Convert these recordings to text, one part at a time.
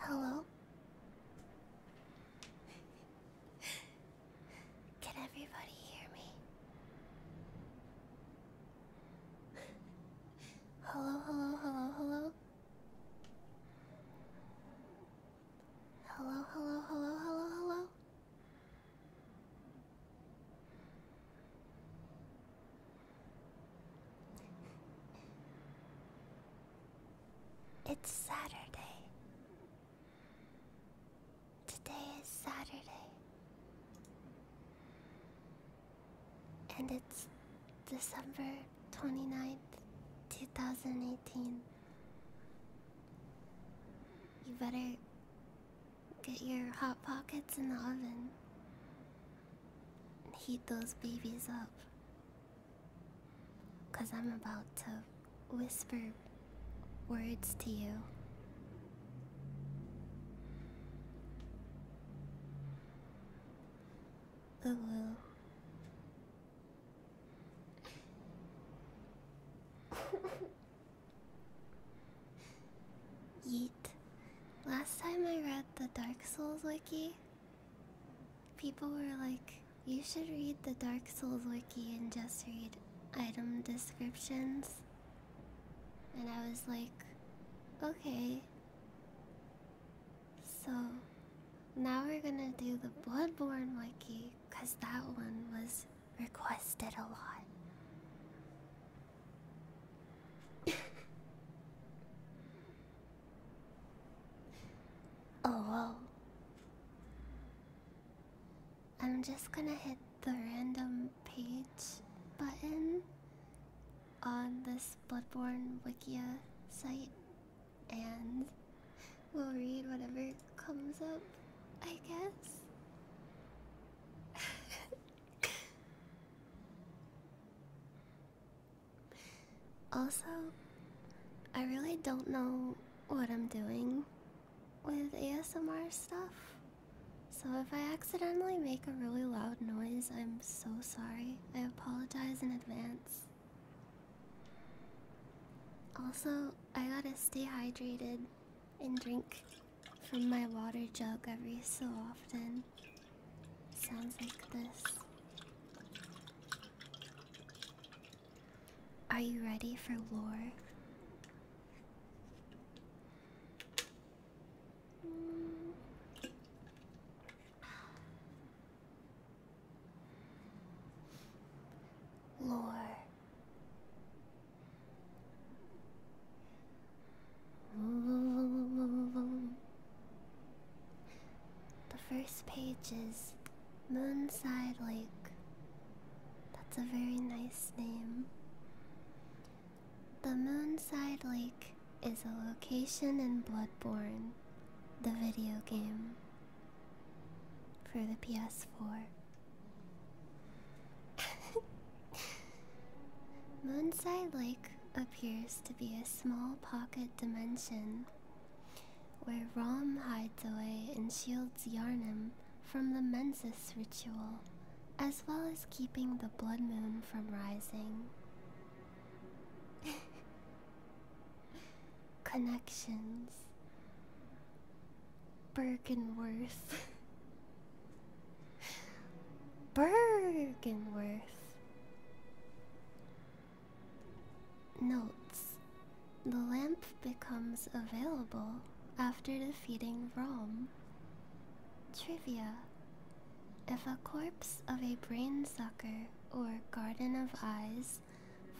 Hello? Can everybody hear me? Hello, hello, hello, hello? Hello, hello, hello, hello, hello. It's Saturday. Today is Saturday. And it's December 29th, 2018. You better get your hot pockets in the oven and heat those babies up. Because I'm about to whisper words to you. I will. Yeet. Last time I read the Dark Souls wiki, people were like, you should read the Dark Souls wiki and just read item descriptions. And I was like, okay. So now we're gonna do the Bloodborne wiki because that one was requested a lot. oh, I'm just gonna hit the random page button on this Bloodborne Wikia site and we'll read whatever comes up, I guess. also, I really don't know what I'm doing with ASMR stuff. So if I accidentally make a really loud noise, I'm so sorry. I apologize in advance. Also, I gotta stay hydrated and drink from my water jug every so often. Sounds like this. Are you ready for lore? Lore. The first page is Moonside Lake. That's a very nice name. The Moonside Lake is a location in Bloodborne, the video game, for the PS4. Moonside Lake appears to be a small pocket dimension where Rom hides away and shields Yarnum from the Mensis ritual, as well as keeping the blood moon from rising. Connections. Bergenworth. Bergenworth. Notes. The lamp becomes available after defeating Rome. Trivia. If a corpse of a brain sucker or Garden of Eyes,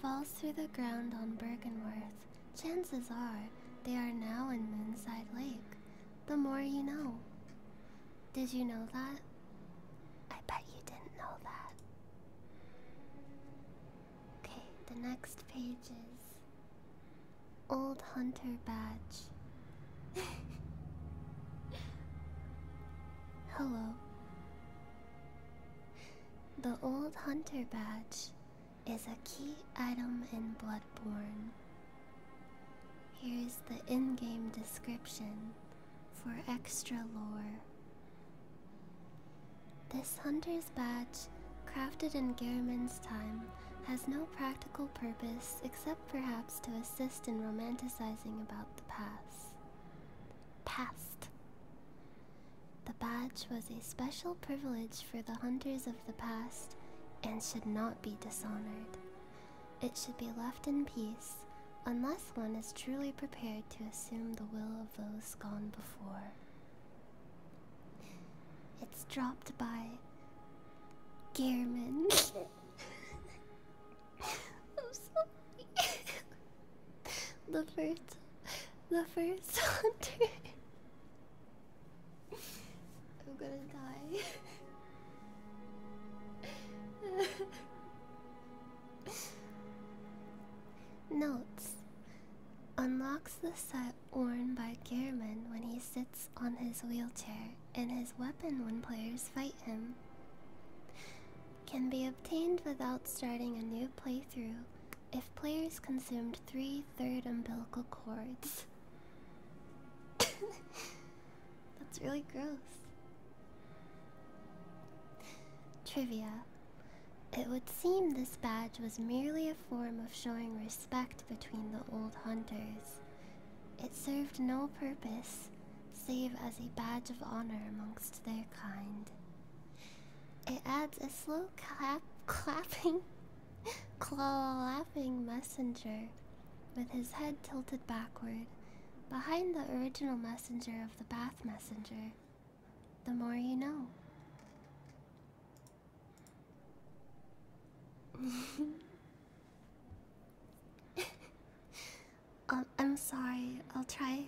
falls through the ground on Bergenworth, chances are they are now in Moonside Lake. The more you know. Did you know that? I bet you didn't know that. Okay, the next page is Old Hunter Badge. Hello, the old hunter badge is a key item in Bloodborne. Here is the in game description for extra lore. This hunter's badge, crafted in Garamond's time, has no practical purpose except perhaps to assist in romanticizing about the past. Passed. The badge was a special privilege for the hunters of the past and should not be dishonored. It should be left in peace unless one is truly prepared to assume the will of those gone before. It's dropped by Gehrman. the first, the first hunter. I'm gonna die. Notes Unlocks the set worn by Gehrman when he sits on his wheelchair and his weapon when players fight him can be obtained without starting a new playthrough if players consumed three third umbilical cords. That's really gross. Trivia. It would seem this badge was merely a form of showing respect between the old hunters. It served no purpose save as a badge of honor amongst their kind. It adds a slow clap clapping clapping messenger with his head tilted backward behind the original messenger of the bath messenger. The more you know. Um, I'm sorry. I'll try.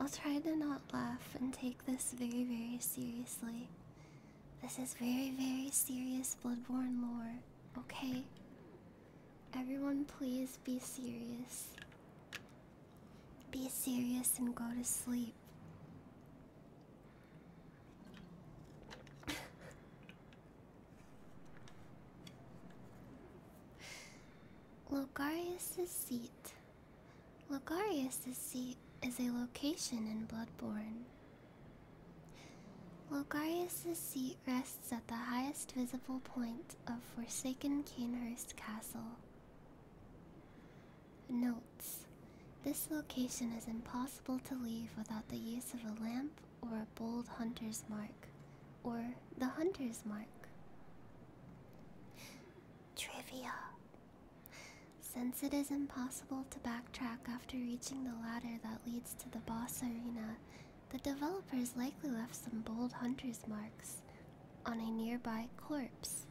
I'll try to not laugh and take this very, very seriously. This is very, very serious Bloodborne lore, okay? Everyone, please be serious. Be serious and go to sleep. Logarius' seat. Logarius' seat is a location in Bloodborne. Logarius' seat rests at the highest visible point of Forsaken Canehurst Castle. Notes This location is impossible to leave without the use of a lamp or a bold hunter's mark, or the hunter's mark. Trivia. Since it is impossible to backtrack after reaching the ladder that leads to the boss arena, the developers likely left some bold hunter's marks on a nearby corpse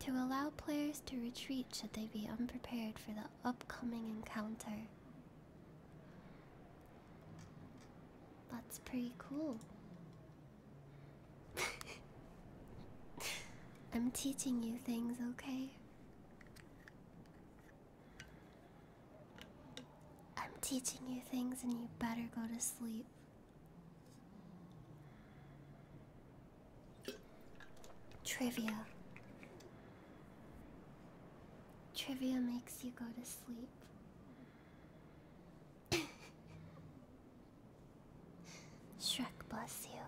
to allow players to retreat should they be unprepared for the upcoming encounter. That's pretty cool. I'm teaching you things, okay? I'm teaching you things, and you better go to sleep. Trivia. Trivia makes you go to sleep. Shrek bless you.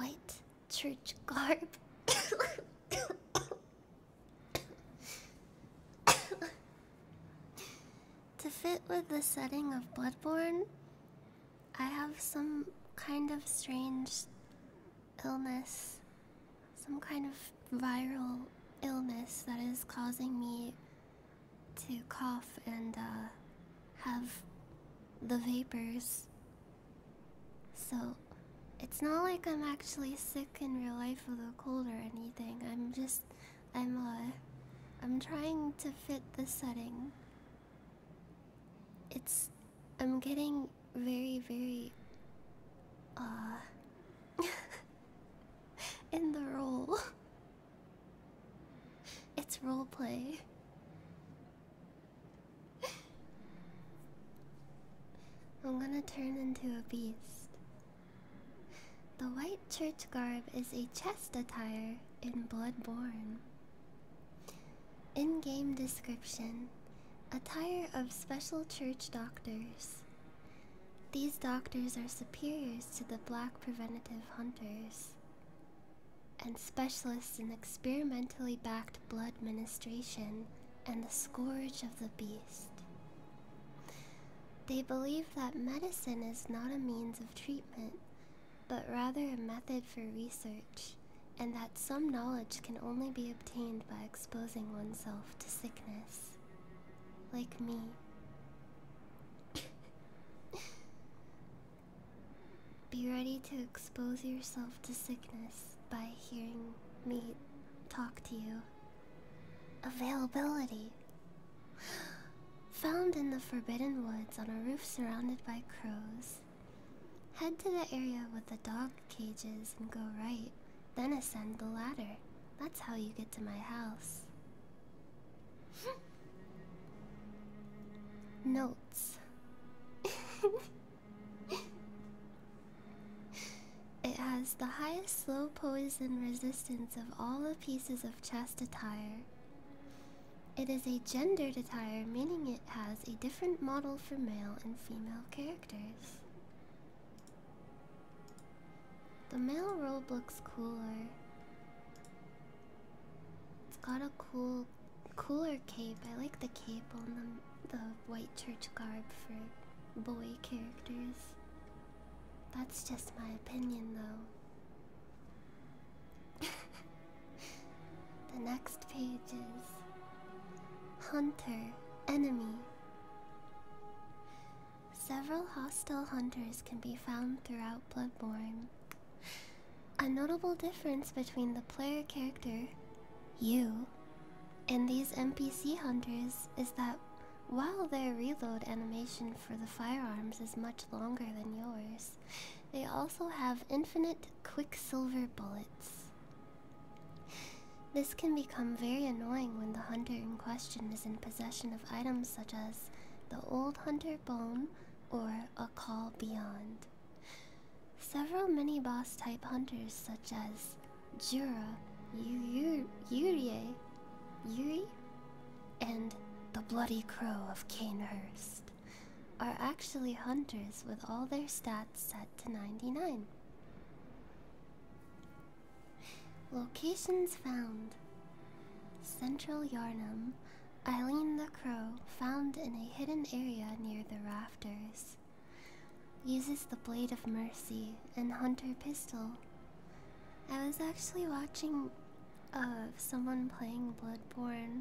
White church garb. to fit with the setting of Bloodborne, I have some kind of strange illness, some kind of viral illness that is causing me to cough and uh, have the vapors. So it's not like I'm actually sick in real life with a cold or anything. I'm just, I'm uh, I'm trying to fit the setting. It's, I'm getting very, very uh, in the role. It's role play. I'm gonna turn into a beast. The white church garb is a chest attire in Bloodborne. In game description attire of special church doctors. These doctors are superiors to the black preventative hunters and specialists in experimentally backed blood ministration and the scourge of the beast. They believe that medicine is not a means of treatment, but rather a method for research, and that some knowledge can only be obtained by exposing oneself to sickness, like me. Be ready to expose yourself to sickness by hearing me talk to you. Availability. Found in the Forbidden Woods on a roof surrounded by crows. Head to the area with the dog cages and go right, then ascend the ladder. That's how you get to my house. Notes. it has the highest slow poison resistance of all the pieces of chest attire. It is a gendered attire, meaning it has a different model for male and female characters. The male robe looks cooler. It's got a cool, cooler cape. I like the cape on the, the white church garb for boy characters. That's just my opinion, though. the next page is Hunter, Enemy, Several hostile hunters can be found throughout Bloodborne. A notable difference between the player character, you, and these NPC hunters is that while their reload animation for the firearms is much longer than yours, they also have infinite quicksilver bullets. This can become very annoying when the hunter in question is in possession of items such as the Old Hunter Bone or A Call Beyond. Several mini boss type hunters, such as Jura, Yuri, Yuri, and the Bloody Crow of Canehurst, are actually hunters with all their stats set to 99. Locations found Central Yarnum. Eileen the Crow, found in a hidden area near the rafters, uses the Blade of Mercy and Hunter Pistol. I was actually watching uh, someone playing Bloodborne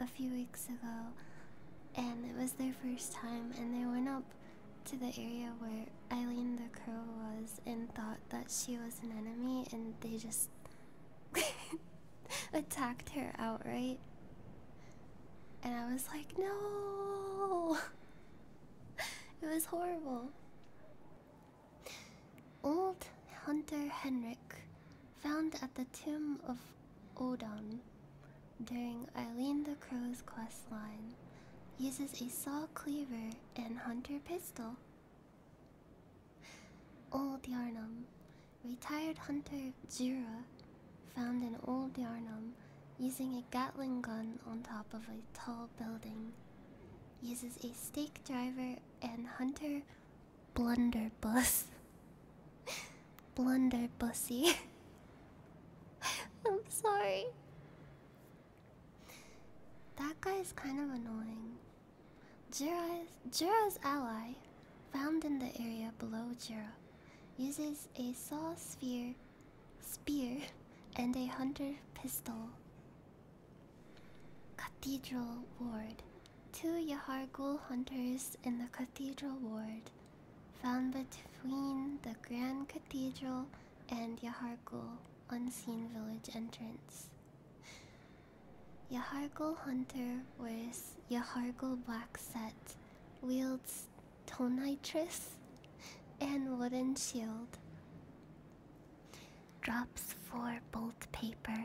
a few weeks ago, and it was their first time, and they went up to the area where Eileen the Crow was and thought that she was an enemy, and they just attacked her outright. And I was like, no! it was horrible. Old hunter Henrik, found at the tomb of Odin, during Eileen the Crow's quest line, uses a saw cleaver and hunter pistol. Old Yarnum. Retired hunter Jura, found in old Yarnum using a Gatling gun on top of a tall building. Uses a stake driver and hunter blunderbuss. blunderbussy. I'm sorry. That guy is kind of annoying. Jira's, Jira's ally, found in the area below Jira, uses a saw sphere, spear, and a hunter pistol. Cathedral Ward. Two Yahargul hunters in the Cathedral Ward, found between the Grand Cathedral and Yahargul Unseen Village entrance. Yahargul Hunter wears Yahargul black set, wields Tonitrus, and wooden shield. Drops four bolt paper.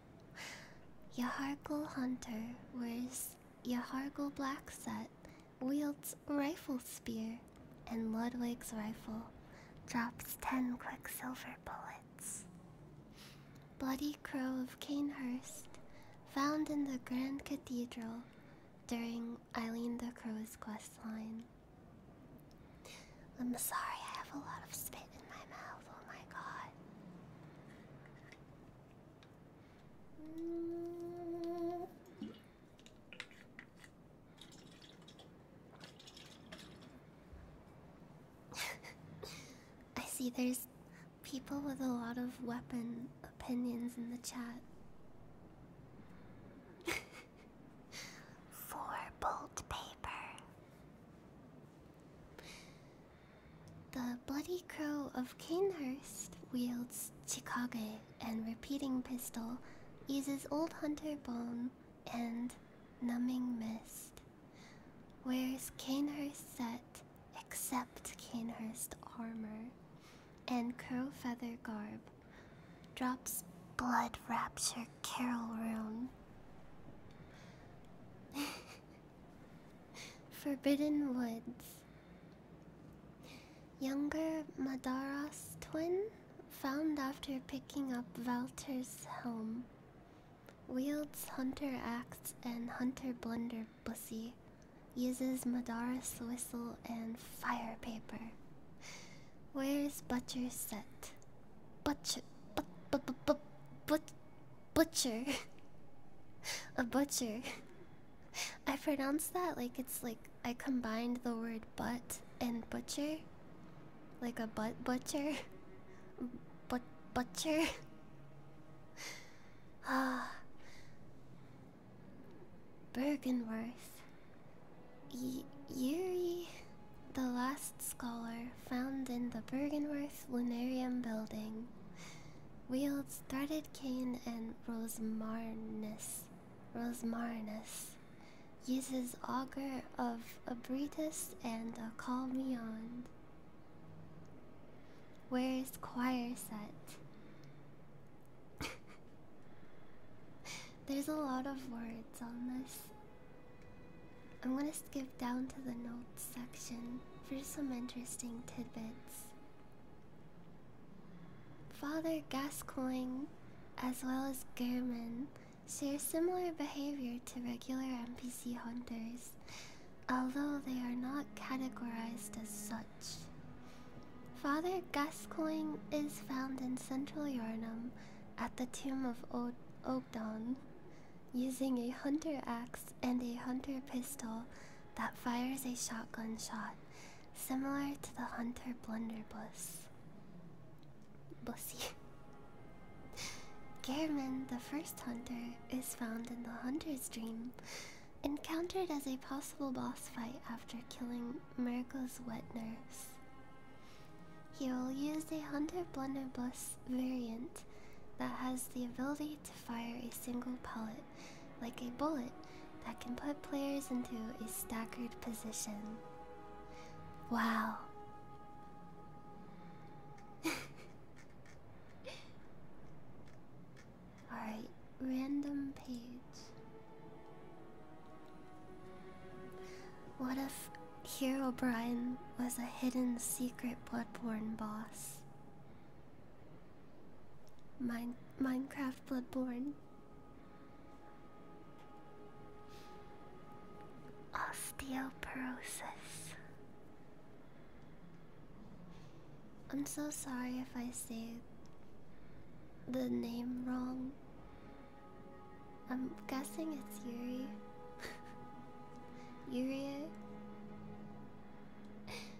Yahargul Hunter wears Yahargul black set, wields rifle spear, and Ludwig's rifle drops ten quicksilver bullets. Bloody Crow of Canehurst, found in the Grand Cathedral during Eileen the Crow's questline. I'm sorry, I have a lot of spit in my mouth, oh my god. I see there's people with a lot of weapon opinions in the chat. Four bolt paper. The bloody crow of Kanehurst wields Chikage, and repeating pistol uses old hunter bone and numbing mist. Wears Canehurst set except Canehurst armor and crow feather garb. Drops blood rapture carol rune. Forbidden Woods Younger Madara's twin, found after picking up Walter's helm, wields Hunter Axe and Hunter Blunder uses Madara's whistle and fire paper. Where's butcher set? Butcher, but, but, but, but, but, butcher, a butcher. I pronounce that like it's like I combined the word butt and butcher. Like a butt butcher. But butcher. Ah. Bergenworth. Yuri, the last scholar found in the Bergenworth Lunarium building, wields threaded cane and rosmarnus. Rosmarinus uses auger of Abritus and a Calmion. Where is choir set? There's a lot of words on this. I'm gonna skip down to the notes section for some interesting tidbits. Father Gascoigne, as well as German, share similar behavior to regular NPC hunters, although they are not categorized as such. Father Gascoigne is found in central Yarnum at the tomb of o Ogdon, using a hunter axe and a hunter pistol that fires a shotgun shot similar to the hunter blunderbuss. Bussy. Gehrman, the first hunter, is found in the hunter's dream, encountered as a possible boss fight after killing Mirko's wet nurse. He will use a hunter blunderbuss variant that has the ability to fire a single pellet like a bullet that can put players into a staggered position. Wow. Alright, random page. What if Hero Brian was a hidden secret Bloodborne boss? Mine Minecraft Bloodborne. Osteoporosis. I'm so sorry if I say the name wrong. I'm guessing it's Yuri. Yuri.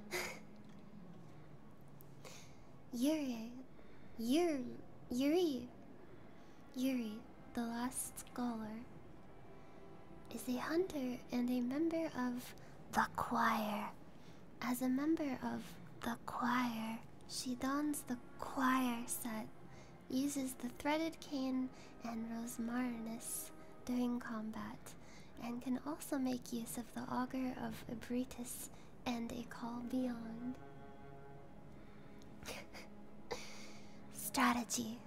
Yuri, Yuri, Yuri, the last scholar, is a hunter and a member of the choir. As a member of the choir, she dons the choir set, uses the threaded cane and rosmarinus during combat, and can also make use of the auger of Abritus and a call beyond. Strategy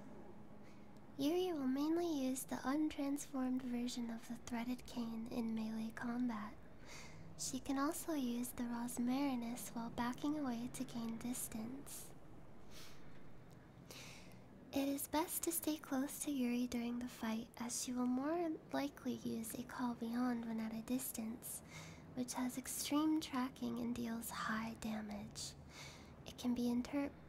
Yuri will mainly use the untransformed version of the threaded cane in melee combat. She can also use the Rosmarinus while backing away to gain distance. It is best to stay close to Yuri during the fight as she will more likely use a call beyond when at a distance, which has extreme tracking and deals high damage. It can be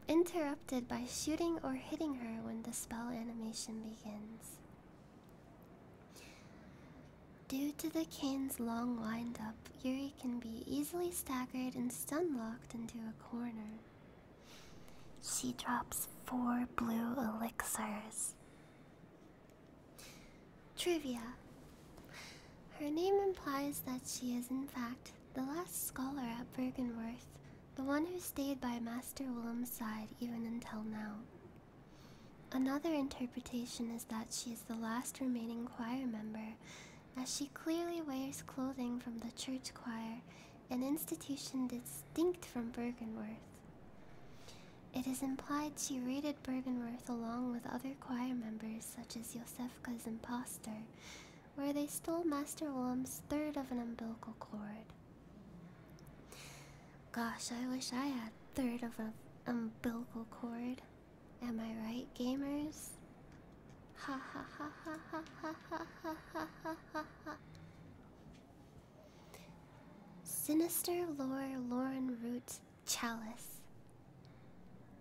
interrupted by shooting or hitting her when the spell animation begins. Due to the cane's long windup, Yuri can be easily staggered and stun locked into a corner. She drops four blue elixirs. Trivia Her name implies that she is, in fact, the last scholar at Bergenworth, the one who stayed by Master Willem's side even until now. Another interpretation is that she is the last remaining choir member, as she clearly wears clothing from the church choir, an institution distinct from Bergenworth. It is implied she raided Bergenworth along with other choir members such as Yosefka's impostor, where they stole Master Willem's third of an umbilical cord. Gosh, I wish I had third of an umbilical cord. Am I right, gamers? ha ha ha ha ha ha ha ha ha ha. Sinister Lore Lauren Root Chalice.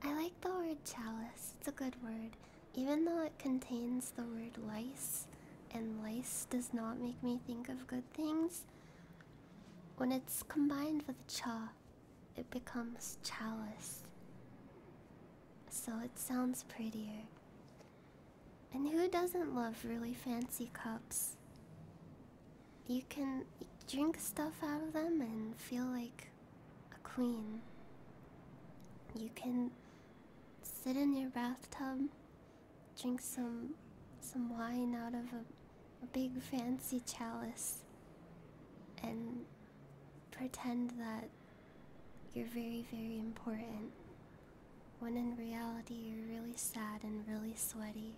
I like the word chalice, it's a good word. Even though it contains the word lice, and lice does not make me think of good things, when it's combined with cha, it becomes chalice. So it sounds prettier. And who doesn't love really fancy cups? you can drink stuff out of them and feel like a queen. You can sit in your bathtub, drink some some wine out of a, a big fancy chalice, and pretend that you're very, very important. When in reality, you're really sad and really sweaty.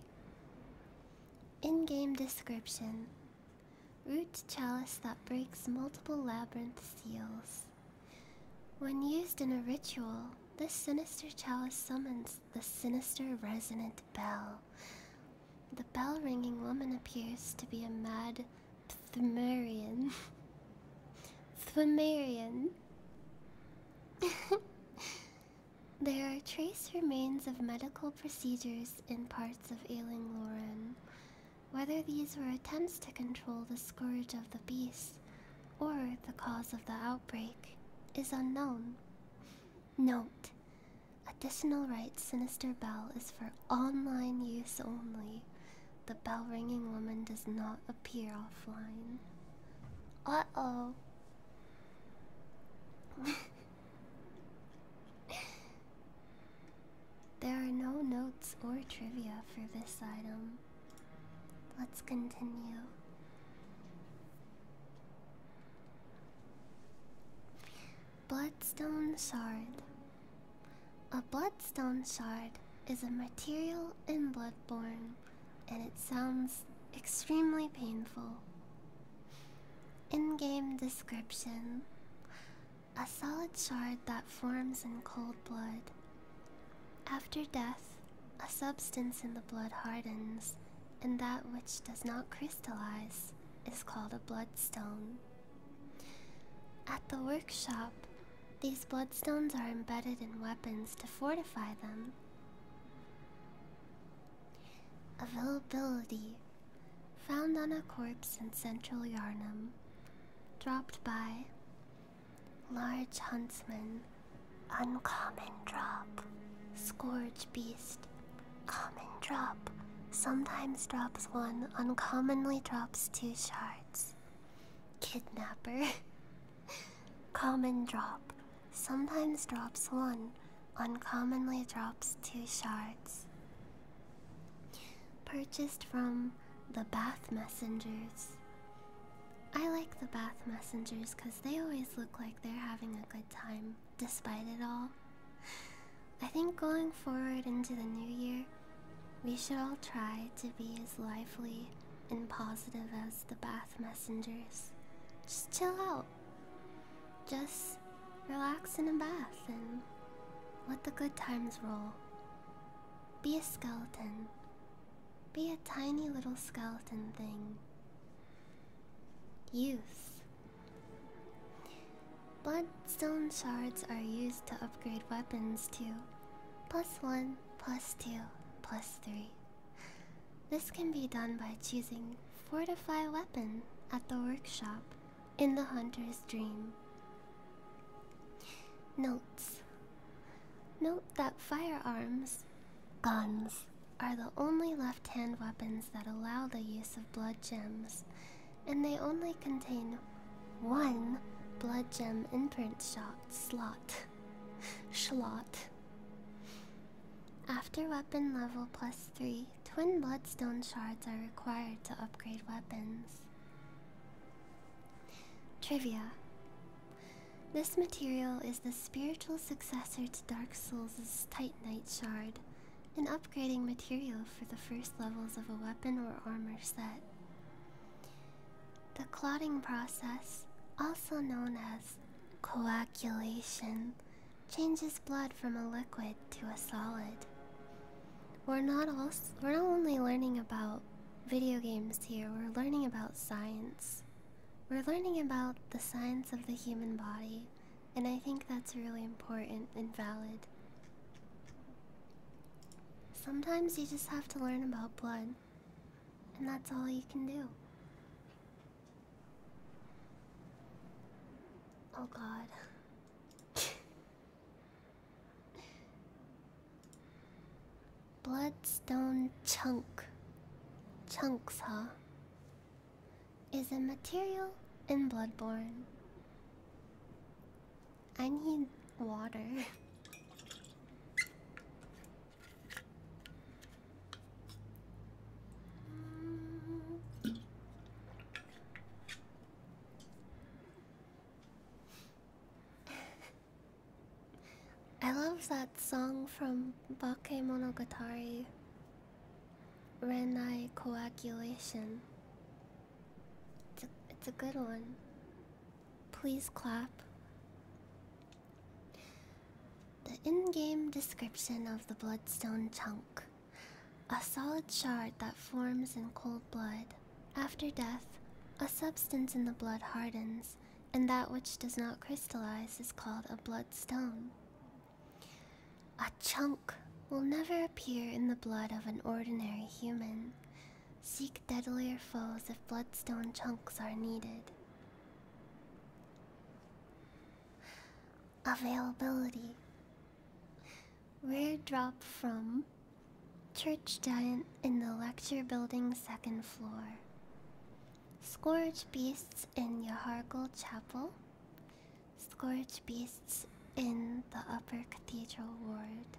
In game description Root chalice that breaks multiple labyrinth seals. When used in a ritual, this sinister chalice summons the sinister resonant bell. The bell ringing woman appears to be a mad Pthmerian. Pthmerian. There are trace remains of medical procedures in parts of ailing Loren. Whether these were attempts to control the scourge of the beast or the cause of the outbreak is unknown. Note Additional rights Sinister Bell is for online use only. The bell ringing woman does not appear offline. Uh oh. there are no notes or trivia for this item. Let's continue. Bloodstone Shard. A bloodstone shard is a material in Bloodborne and it sounds extremely painful. In game description A solid shard that forms in cold blood. After death, a substance in the blood hardens, and that which does not crystallize is called a bloodstone. At the workshop, these bloodstones are embedded in weapons to fortify them. Availability Found on a corpse in central Yarnum. Dropped by Large Huntsman. Uncommon drop. Scourge Beast. Common drop. Sometimes drops one, uncommonly drops two shards. Kidnapper. Common drop sometimes drops one, uncommonly drops two shards. Purchased from the Bath Messengers. I like the Bath Messengers because they always look like they're having a good time, despite it all. I think going forward into the new year, we should all try to be as lively and positive as the Bath Messengers. Just chill out. Just relax in a bath and let the good times roll. Be a skeleton. Be a tiny little skeleton thing. Use. Bloodstone shards are used to upgrade weapons to plus 1, plus 2, plus 3. This can be done by choosing Fortify Weapon at the workshop in the Hunter's Dream. Notes Note that firearms, guns, are the only left hand weapons that allow the use of blood gems, and they only contain one blood gem imprint slot. slot. After weapon level plus 3, twin bloodstone shards are required to upgrade weapons. Trivia This material is the spiritual successor to Dark Souls' Titanite Shard, an upgrading material for the first levels of a weapon or armor set. The clotting process, also known as coagulation changes blood from a liquid to a solid. We're not also, we're not only learning about video games here, we're learning about science. We're learning about the science of the human body, and I think that's really important and valid. Sometimes you just have to learn about blood, and that's all you can do. Oh god. Bloodstone chunk. Chunks, huh? Is a material in Bloodborne. I need water. I love that song from Bakemonogatari Renai Coagulation. It's a, it's a good one. Please clap. The in game description of the Bloodstone Chunk a solid shard that forms in cold blood. After death, a substance in the blood hardens, and that which does not crystallize is called a bloodstone. A chunk will never appear in the blood of an ordinary human. Seek deadlier foes if bloodstone chunks are needed availability. Rare drop from Church Giant in the Lecture Building second floor. Scourge Beasts in Yahargal Chapel. Scourge Beasts in the Upper Cathedral Ward.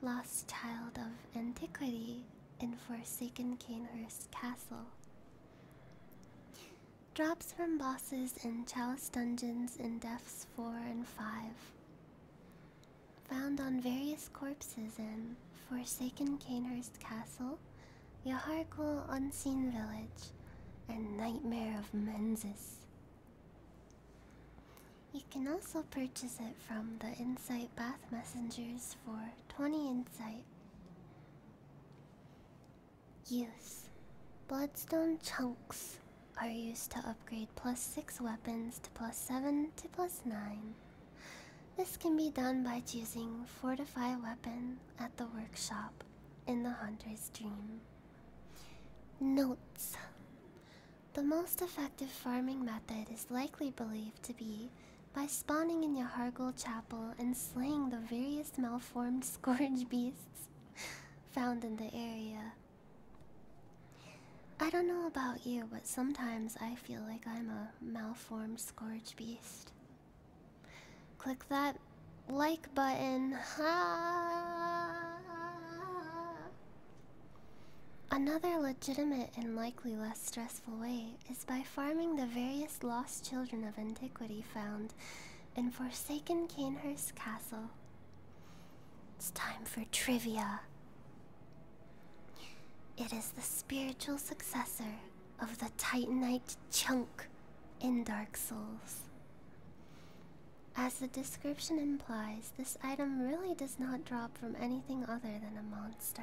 Lost Child of Antiquity in Forsaken Canehurst Castle. Drops from bosses in Chalice Dungeons in Depths 4 and 5. Found on various corpses in Forsaken Canehurst Castle, Yaharkul Unseen Village, and Nightmare of Menzies. You can also purchase it from the Insight Bath Messengers for 20 Insight. Use Bloodstone chunks are used to upgrade plus 6 weapons to plus 7 to plus 9. This can be done by choosing Fortify Weapon at the workshop in the Hunter's Dream. Notes The most effective farming method is likely believed to be by spawning in your Hargle Chapel and slaying the various malformed scourge beasts found in the area. I don't know about you, but sometimes I feel like I'm a malformed scourge beast. Click that like button. Ah! Another legitimate and likely less stressful way is by farming the various lost children of antiquity found in Forsaken Canehurst Castle. It's time for trivia. It is the spiritual successor of the Titanite Chunk in Dark Souls. As the description implies, this item really does not drop from anything other than a monster.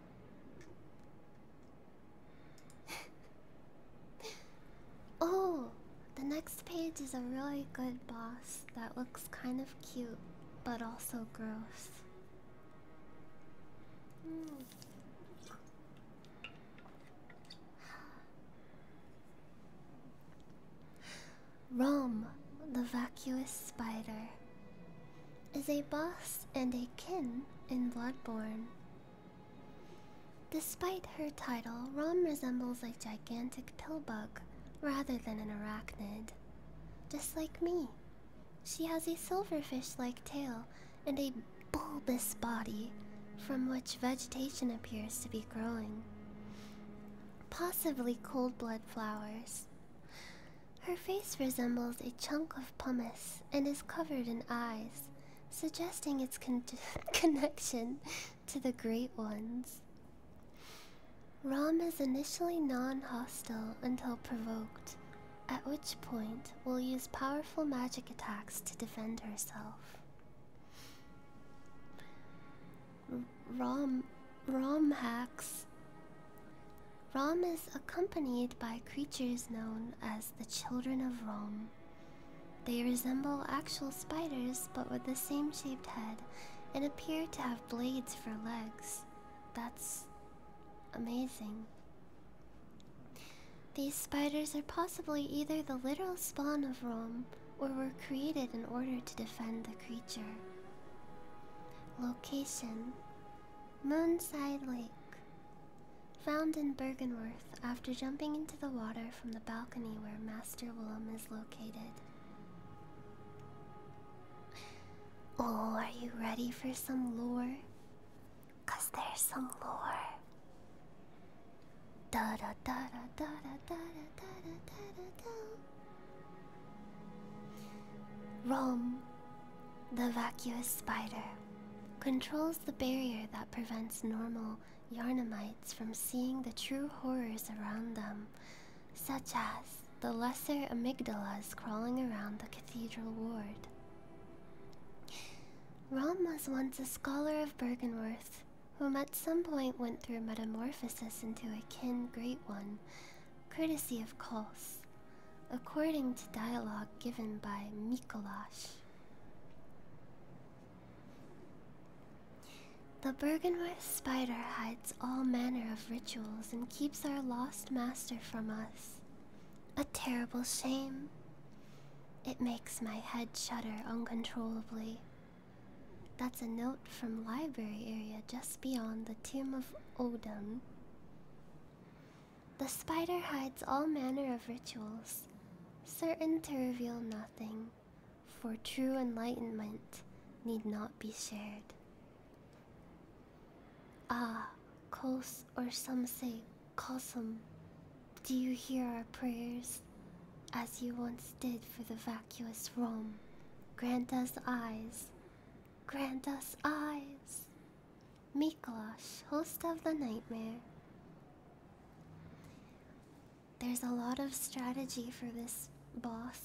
oh, the next page is a really good boss that looks kind of cute, but also gross. Mm. Rome, the vacuous spider, is a boss and a kin in Bloodborne Despite her title, Rom resembles a gigantic pillbug rather than an arachnid. Just like me. She has a silverfish like tail and a bulbous body from which vegetation appears to be growing. Possibly cold blooded flowers. Her face resembles a chunk of pumice and is covered in eyes, suggesting its connection to the Great Ones. Rom is initially non hostile until provoked, at which point, will use powerful magic attacks to defend herself. Rom, Rom hacks. Rom is accompanied by creatures known as the children of Rome. They resemble actual spiders but with the same shaped head and appear to have blades for legs. That's amazing. These spiders are possibly either the literal spawn of Rome or were created in order to defend the creature. Location Moonside Lake. Found in Bergenworth after jumping into the water from the balcony where Master Willem is located. Oh, are you ready for some lore? Cause there's some lore. da da da da da da da da da da. Rum, the vacuous spider controls the barrier that prevents normal Yarnamites from seeing the true horrors around them, such as the lesser amygdalas crawling around the cathedral ward. Rom was once a scholar of Bergenworth, whom at some point went through metamorphosis into a kin great one, courtesy of Kols, according to dialogue given by Mikolash. The Bergenworth spider hides all manner of rituals and keeps our lost master from us. A terrible shame. It makes my head shudder uncontrollably. That's a note from library area just beyond the tomb of Odin. The spider hides all manner of rituals, certain to reveal nothing, for true enlightenment need not be shared. Ah, cos or some say Kosum, do you hear our prayers? As you once did for the vacuous Rom? grant us eyes, grant us eyes. Mikolash, host of the nightmare. There's a lot of strategy for this boss.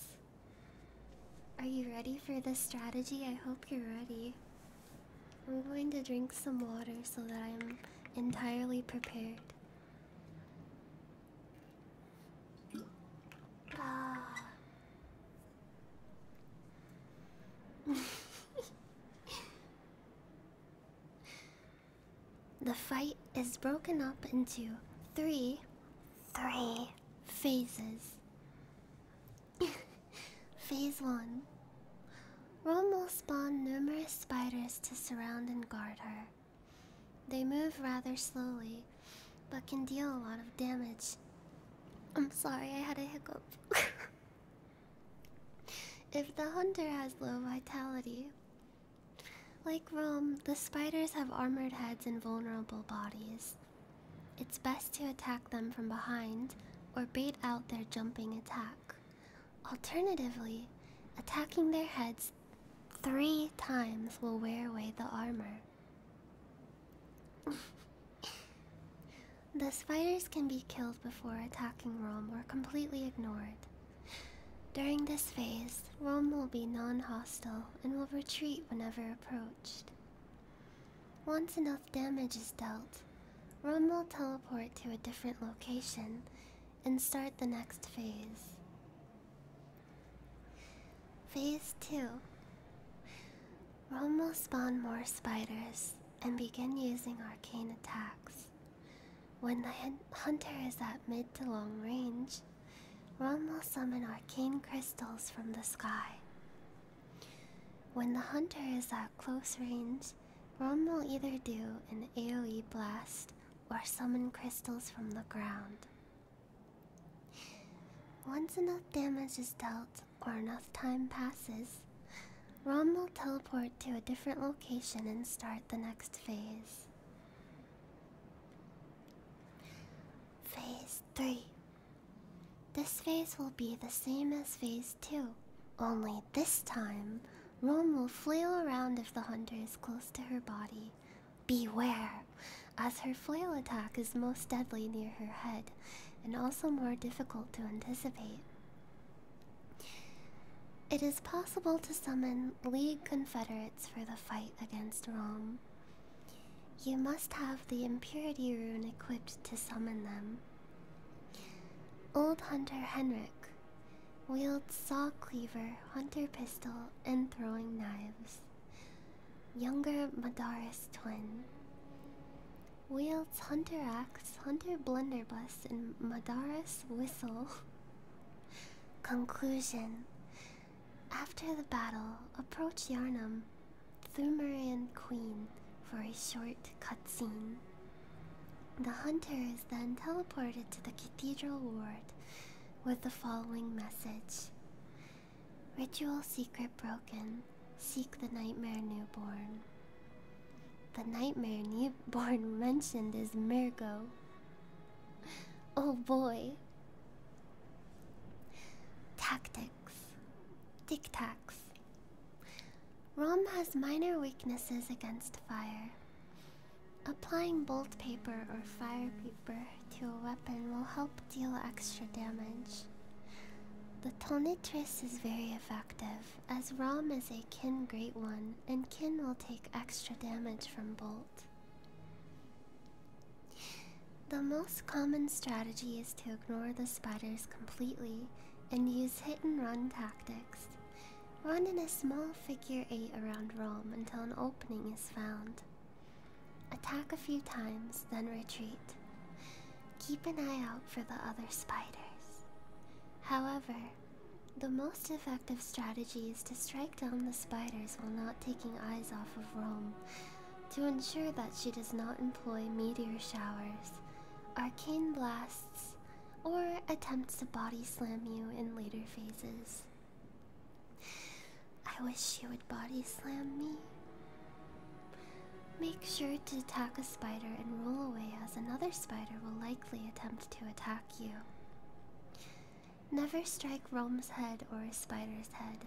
Are you ready for this strategy? I hope you're ready. I'm going to drink some water so that I'm entirely prepared. Ah. The fight is broken up into three, phases. Phase 1 Rome will spawn numerous spiders to surround and guard her. They move rather slowly, but can deal a lot of damage. I'm sorry, I had a hiccup. If the hunter has low vitality, like Rome, the spiders have armored heads and vulnerable bodies. It's best to attack them from behind or bait out their jumping attack. Alternatively, attacking their heads three times will wear away the armor. The spiders can be killed before attacking Rome or completely ignored. During this phase, Rome will be non hostile and will retreat whenever approached. Once enough damage is dealt, Rome will teleport to a different location and start the next phase. Phase 2 Rome will spawn more spiders and begin using arcane attacks. When the hunter is at mid to long range, Ron will summon arcane crystals from the sky. When the hunter is at close range, Ron will either do an AoE blast or summon crystals from the ground. Once enough damage is dealt or enough time passes, Rome will teleport to a different location and start the next phase. Phase 3. This phase will be the same as phase 2, only this time, Rome will flail around if the hunter is close to her body. Beware, as her flail attack is most deadly near her head and also more difficult to anticipate. It is possible to summon League Confederates for the fight against Rome. You must have the Impurity Rune equipped to summon them. Old Hunter Henrik wields saw cleaver, hunter pistol, and throwing knives. Younger Madaris twin wields hunter axe, hunter blunderbuss, and Madara's whistle. Conclusion After the battle, approach Yarnum, through Marian Queen, for a short cutscene. The hunter is then teleported to the Cathedral Ward with the following message Ritual secret broken. Seek the Nightmare Newborn. The nightmare newborn mentioned is Mirgo. Oh boy. Tactics. Tic Tacs. Rom has minor weaknesses against fire. Applying bolt paper or fire paper to a weapon will help deal extra damage. The Tonitress is very effective as Rom is a Kin Great One, and Kin will take extra damage from Bolt. The most common strategy is to ignore the spiders completely and use hit and run tactics. Run in a small figure 8 around Rom until an opening is found. Attack a few times, then retreat. Keep an eye out for the other spiders. However, the most effective strategy is to strike down the spiders while not taking eyes off of Rome, to ensure that she does not employ meteor showers, arcane blasts, or attempts to body slam you in later phases. I wish she would body slam me. Make sure to attack a spider and roll away, as another spider will likely attempt to attack you. Never strike Rome's head or a spider's head.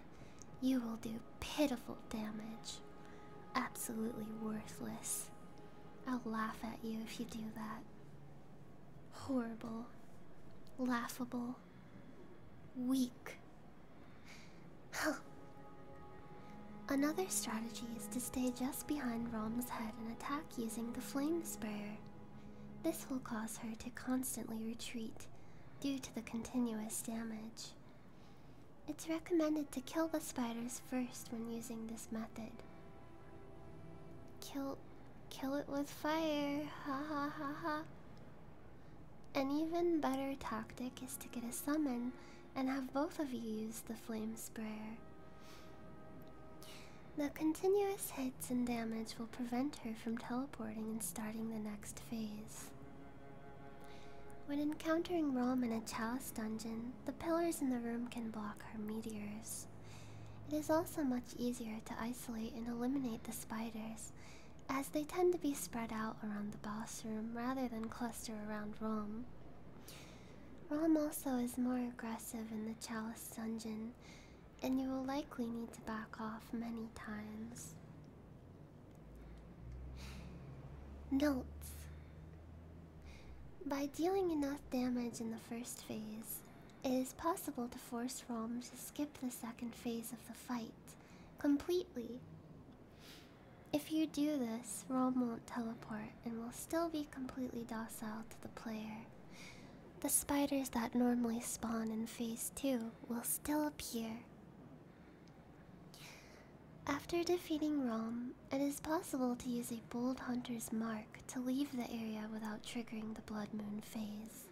You will do pitiful damage. Absolutely worthless. I'll laugh at you if you do that. Horrible. Laughable. Weak. Another strategy is to stay just behind Rom's head and attack using the flame sprayer. This will cause her to constantly retreat due to the continuous damage. It's recommended to kill the spiders first when using this method. Kill kill it with fire. Ha ha ha ha. An even better tactic is to get a summon and have both of you use the flame sprayer. The continuous hits and damage will prevent her from teleporting and starting the next phase. When encountering Rome in a chalice dungeon, the pillars in the room can block her meteors. It is also much easier to isolate and eliminate the spiders, as they tend to be spread out around the boss room rather than cluster around Rome. Rom also is more aggressive in the Chalice dungeon, and you will likely need to back off many times. Notes By dealing enough damage in the first phase, it is possible to force Rom to skip the second phase of the fight completely. If you do this, Rom won't teleport and will still be completely docile to the player. The spiders that normally spawn in phase 2 will still appear. After defeating Rome, it is possible to use a bold hunter's mark to leave the area without triggering the blood moon phase.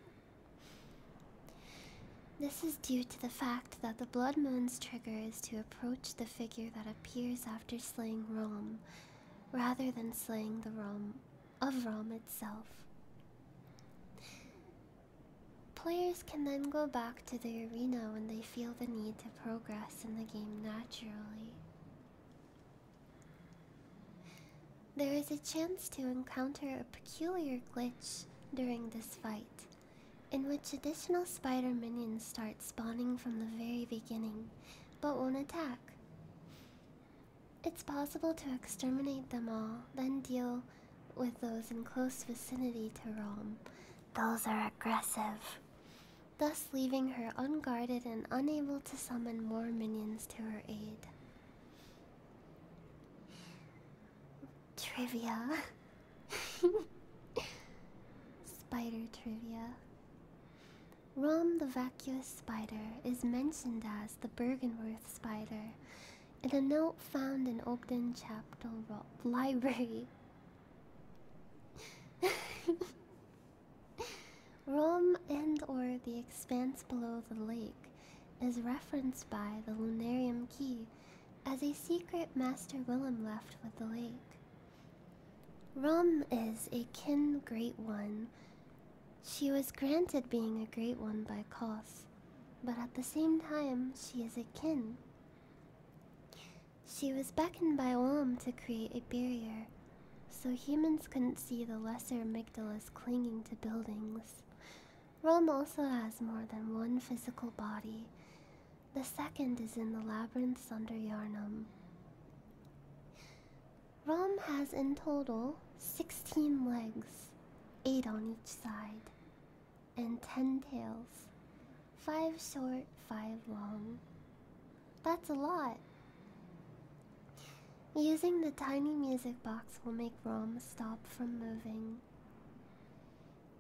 This is due to the fact that the blood moon's trigger is to approach the figure that appears after slaying Rome rather than slaying the realm of Rom itself. Players can then go back to the arena when they feel the need to progress in the game naturally. There is a chance to encounter a peculiar glitch during this fight, in which additional spider minions start spawning from the very beginning but won't attack. It's possible to exterminate them all, then deal with those in close vicinity to Rome. Those are aggressive. Thus, leaving her unguarded and unable to summon more minions to her aid. Trivia. Spider trivia. Rom the vacuous spider is mentioned as the Bergenworth spider in a note found in Ogden Chapel Library. Rome and or the expanse below the lake is referenced by the Lunarium Key as a secret Master Willem left with the lake. Rum is a kin great one. She was granted being a great one by Cos, but at the same time, she is a kin. She was beckoned by Olam to create a barrier, so humans couldn't see the lesser amygdalas clinging to buildings. Rome also has more than one physical body. The second is in the labyrinths under Yarnum. Rom has in total 16 legs, 8 on each side, and 10 tails. 5 short, 5 long. That's a lot. Using the tiny music box will make Rom stop from moving.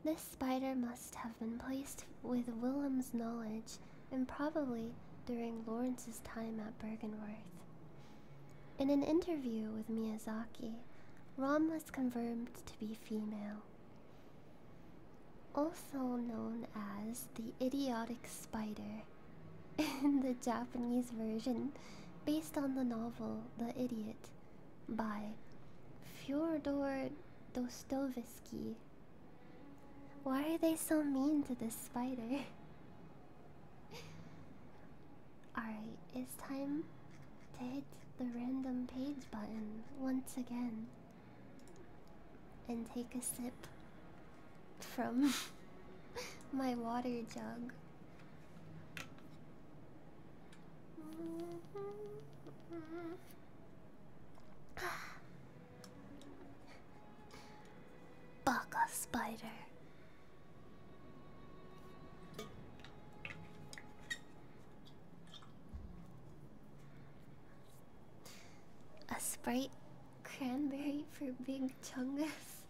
This spider must have been placed with Willem's knowledge and probably during Lawrence's time at Bergenworth. In an interview with Miyazaki, Rom was confirmed to be female. Also known as the idiotic spider in the Japanese version, based on the novel The Idiot by Fyodor Dostoevsky, why are they so mean to this spider? Alright, it's time to hit the random page button once again and take a sip from my water jug. Baka spider. A sprite cranberry for big chungus.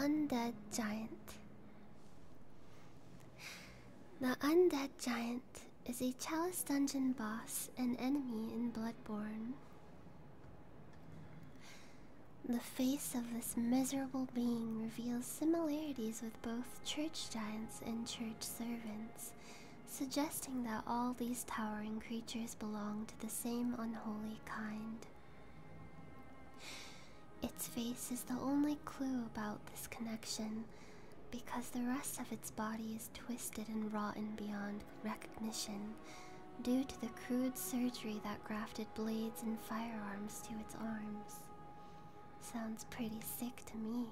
Undead giant. The Undead Giant is a Chalice Dungeon boss and enemy in Bloodborne. The face of this miserable being reveals similarities with both church giants and church servants, suggesting that all these towering creatures belong to the same unholy kind. Its face is the only clue about this connection because the rest of its body is twisted and rotten beyond recognition due to the crude surgery that grafted blades and firearms to its arms. Sounds pretty sick to me.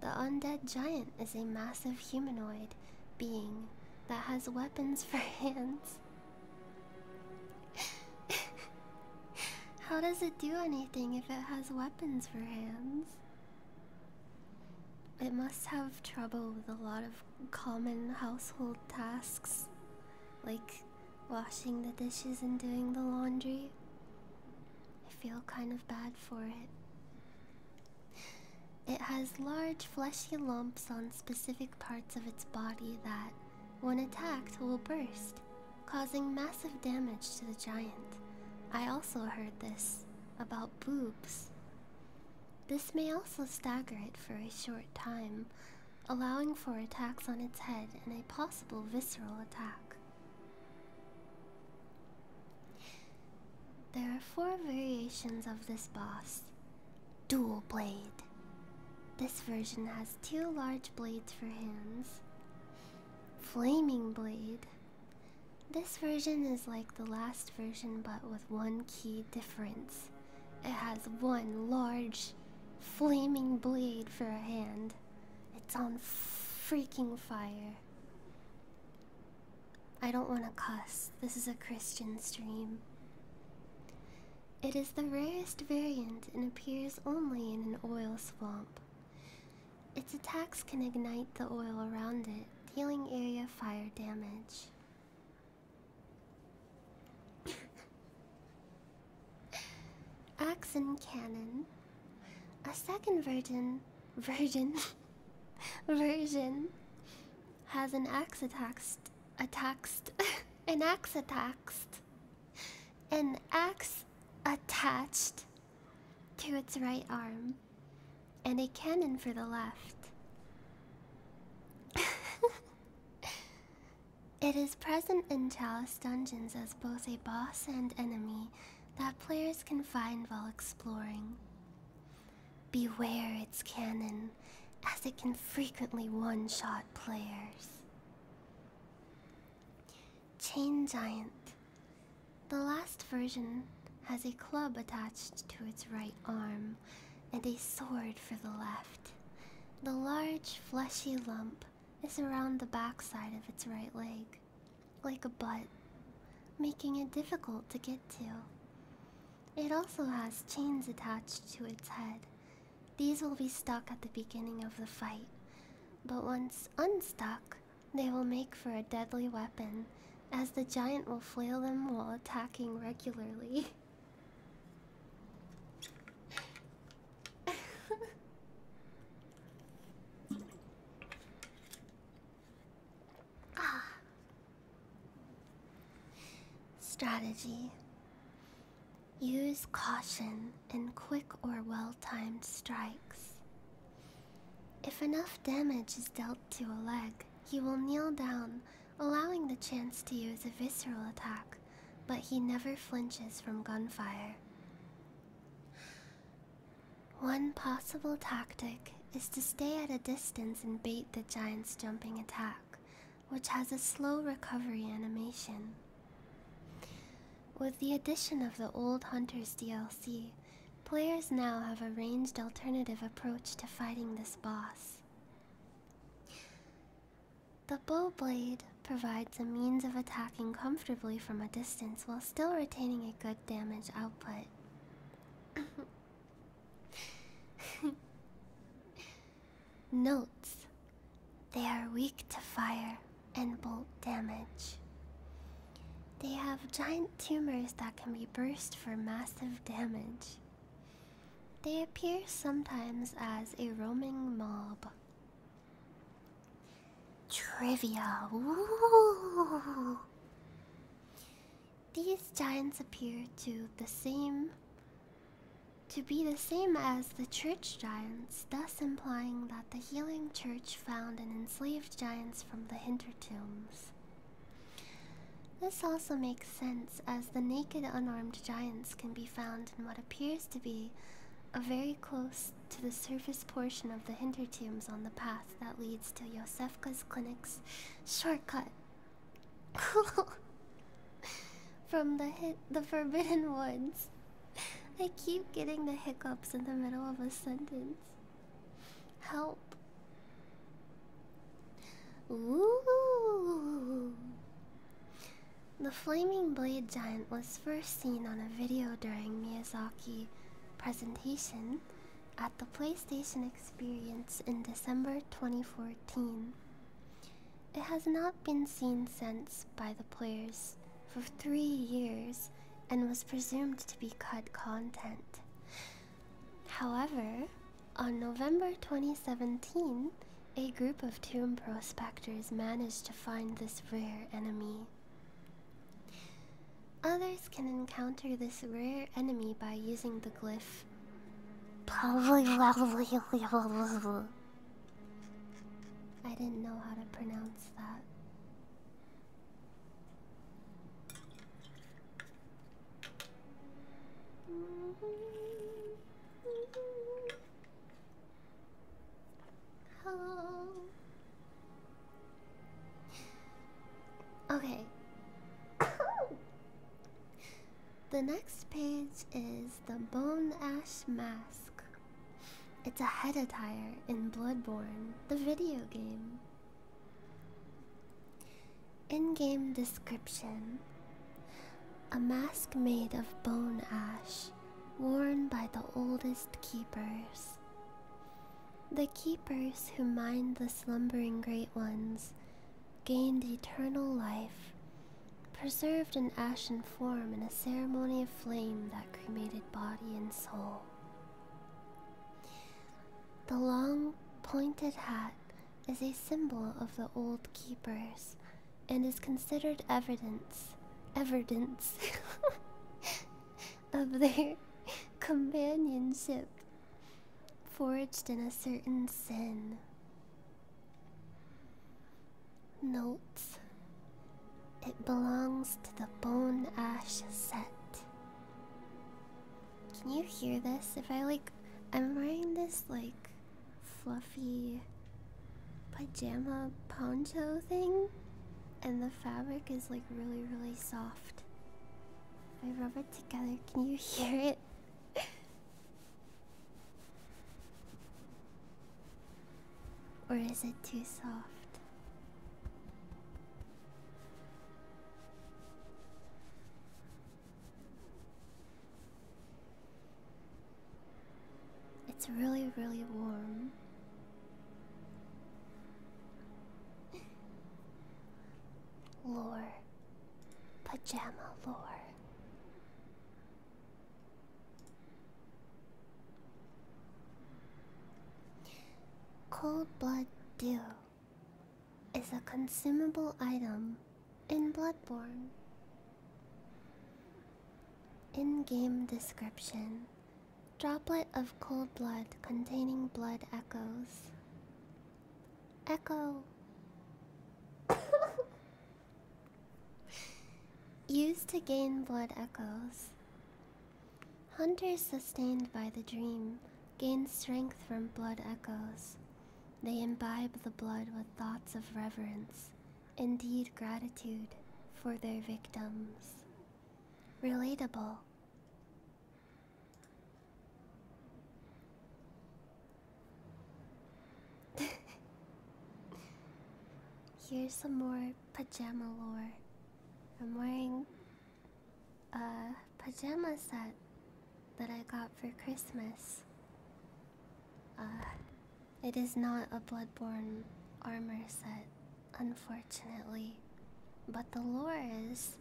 The undead giant is a massive humanoid being that has weapons for hands How does it do anything if it has weapons for hands? It must have trouble with a lot of common household tasks, like washing the dishes and doing the laundry. I feel kind of bad for it. It has large fleshy lumps on specific parts of its body that when attacked, will burst, causing massive damage to the giant. I also heard this about boobs. This may also stagger it for a short time, allowing for attacks on its head and a possible visceral attack. There are four variations of this boss. Dual blade. This version has two large blades for hands. Flaming blade. This version is like the last version but with one key difference. It has one large flaming blade for a hand. It's on freaking fire. I don't want to cuss. This is a Christian stream. It is the rarest variant and appears only in an oil swamp. Its attacks can ignite the oil around it, dealing area fire damage. Axe and cannon. A second virgin, virgin, virgin, has an axe attacked, attacked, an axe attacked an axe attached to its right arm and a cannon for the left. it is present in Chalice Dungeons as both a boss and enemy that players can find while exploring. Beware its cannon, as it can frequently one shot players. Chain Giant. The last version has a club attached to its right arm and a sword for the left. The large, fleshy lump is around the backside of its right leg, like a butt, making it difficult to get to. It also has chains attached to its head these will be stuck at the beginning of the fight, but once unstuck, they will make for a deadly weapon, as the giant will flail them while attacking regularly. ah. Strategy. Use caution in quick or well timed strikes. If enough damage is dealt to a leg, he will kneel down, allowing the chance to use a visceral attack, but he never flinches from gunfire. One possible tactic is to stay at a distance and bait the giant's jumping attack which has a slow recovery animation. With the addition of the Old Hunters DLC, players now have a ranged alternative approach to fighting this boss. The bow blade provides a means of attacking comfortably from a distance while still retaining a good damage output. Notes. They are weak to fire and bolt damage. They have giant tumors that can be burst for massive damage. They appear sometimes as a roaming mob. Trivia! These giants appear to the same to be the same as the church giants, thus implying that the healing church found in enslaved giants from the hintertombs. This also makes sense as the naked unarmed giants can be found in what appears to be a very close to the surface portion of the hintertombs on the path that leads to Yosefka's clinic's shortcut. from the hit the forbidden woods. I keep getting the hiccups in the middle of a sentence. Help. Ooh. The flaming blade giant was first seen on a video during Miyazaki presentation at the PlayStation Experience in December 2014. It has not been seen since by the players for three years and was presumed to be cut content. However, on November 2017, a group of tomb prospectors managed to find this rare enemy. Others can encounter this rare enemy by using the glyph. I didn't know how to pronounce that. Hello. Okay. the next page is the bone ash mask. It's a head attire in Bloodborne, the video game. In game description A mask made of bone ash, worn by the oldest keepers. The keepers who mind the slumbering great ones gained eternal life preserved in ashen form in a ceremony of flame that cremated body and soul. The long, pointed hat is a symbol of the old keepers and is considered evidence evidence of their companionship forged in a certain sin Notes It belongs to the Bone Ash set. Can you hear this? If I like, I'm wearing this like fluffy pajama poncho thing, and the fabric is like really, really soft. I rub it together, can you hear it? Or is it too soft? It's really, really warm. Lore. Pajama lore. Cold blood dew is a consumable item in Bloodborne. In game description Droplet of cold blood containing blood echoes. Echo. Used to gain blood echoes. Hunters sustained by the dream gain strength from blood echoes. They imbibe the blood with thoughts of reverence, indeed gratitude, for their victims. Relatable. Here's some more pajama lore. I'm wearing a pajama set that I got for Christmas. Uh, it is not a Bloodborne armor set, unfortunately. But the lore is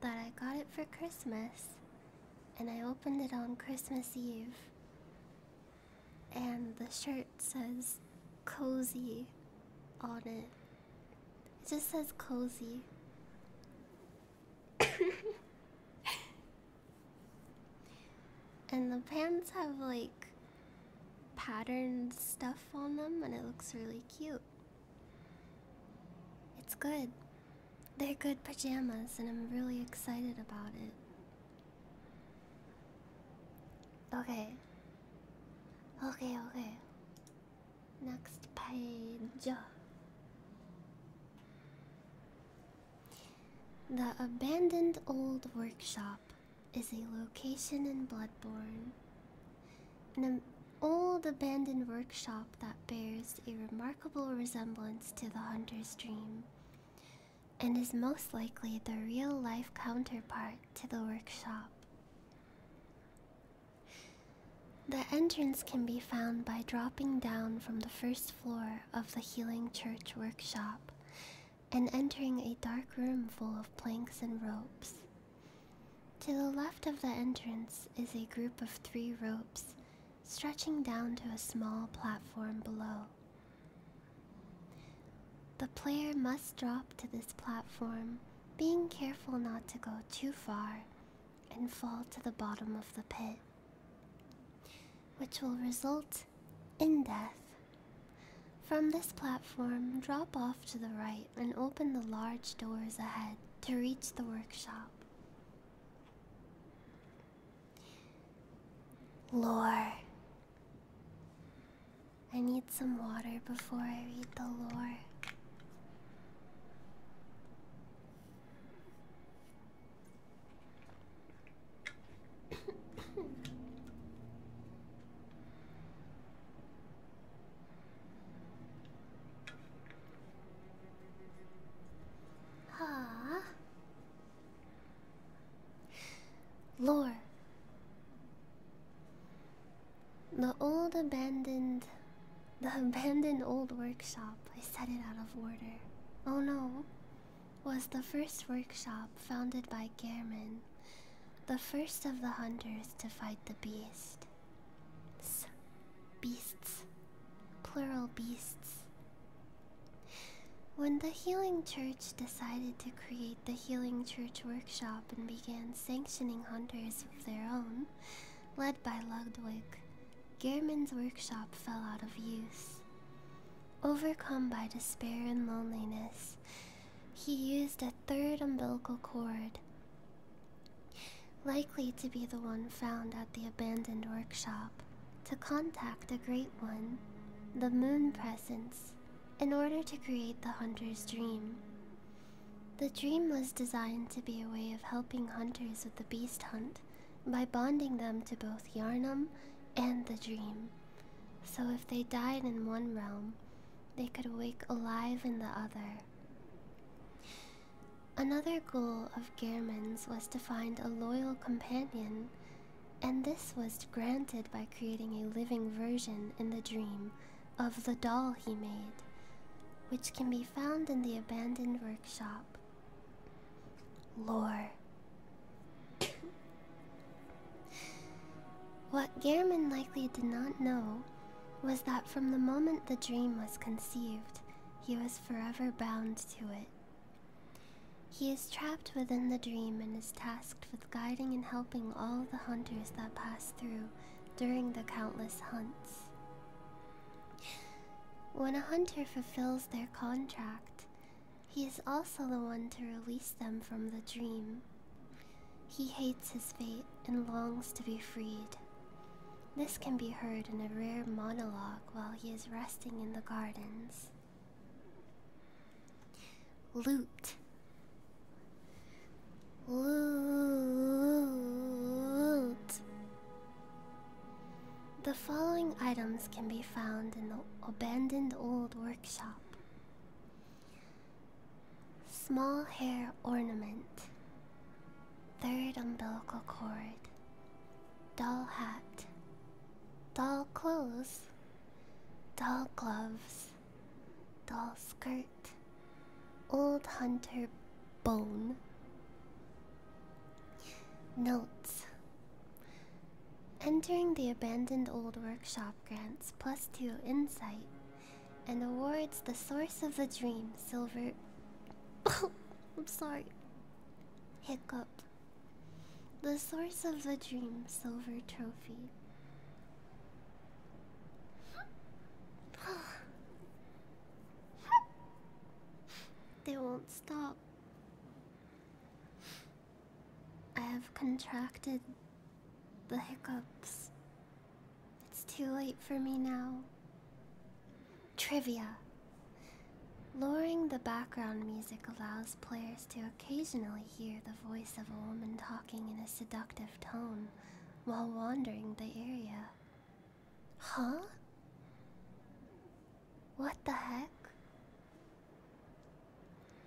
that I got it for Christmas and I opened it on Christmas Eve and the shirt says cozy on it. It just says cozy. and the pants have like patterned stuff on them, and it looks really cute. It's good. They're good pajamas, and I'm really excited about it. Okay. Okay, okay. Next page. The abandoned old workshop is a location in Bloodborne. An old abandoned workshop that bears a remarkable resemblance to the Hunter's Dream and is most likely the real life counterpart to the workshop. The entrance can be found by dropping down from the first floor of the Healing Church workshop and entering a dark room full of planks and ropes. To the left of the entrance is a group of three ropes stretching down to a small platform below. The player must drop to this platform, being careful not to go too far and fall to the bottom of the pit, which will result in death. From this platform, drop off to the right and open the large doors ahead to reach the workshop. Lore. I need some water before I read the lore. Ah, Lore The old abandoned. The abandoned old workshop, I set it out of order. Oh no, was the first workshop founded by German, the first of the hunters to fight the beast. beasts, plural beasts, when the Healing Church decided to create the Healing Church Workshop and began sanctioning hunters of their own, led by Ludwig, Gehrman's workshop fell out of use. Overcome by despair and loneliness, he used a third umbilical cord, likely to be the one found at the abandoned workshop, to contact a Great One, the Moon Presence, in order to create the hunter's dream. The dream was designed to be a way of helping hunters with the beast hunt by bonding them to both Yarnum and the dream. So if they died in one realm, they could awake alive in the other. Another goal of Gehrman's was to find a loyal companion and this was granted by creating a living version in the dream of the doll he made, which can be found in the abandoned workshop. Lore What Gehrman likely did not know was that from the moment the dream was conceived, he was forever bound to it. He is trapped within the dream and is tasked with guiding and helping all the hunters that pass through during the countless hunts. When a hunter fulfills their contract, he is also the one to release them from the dream. He hates his fate and longs to be freed. This can be heard in a rare monologue while he is resting in the gardens. Loot. Loot. The following items can be found in the abandoned old workshop Small hair ornament, third umbilical cord, doll hat, doll clothes, Doll gloves, doll skirt, old hunter bone. Notes Entering the abandoned old workshop grants plus two insight and awards the source of the dream silver. I'm sorry. Hiccup. The source of the dream silver trophy. they won't stop. I have contracted the hiccups. It's too late for me now. Trivia. Lowering the background music allows players to occasionally hear the voice of a woman talking in a seductive tone while wandering the area. Huh? What the heck?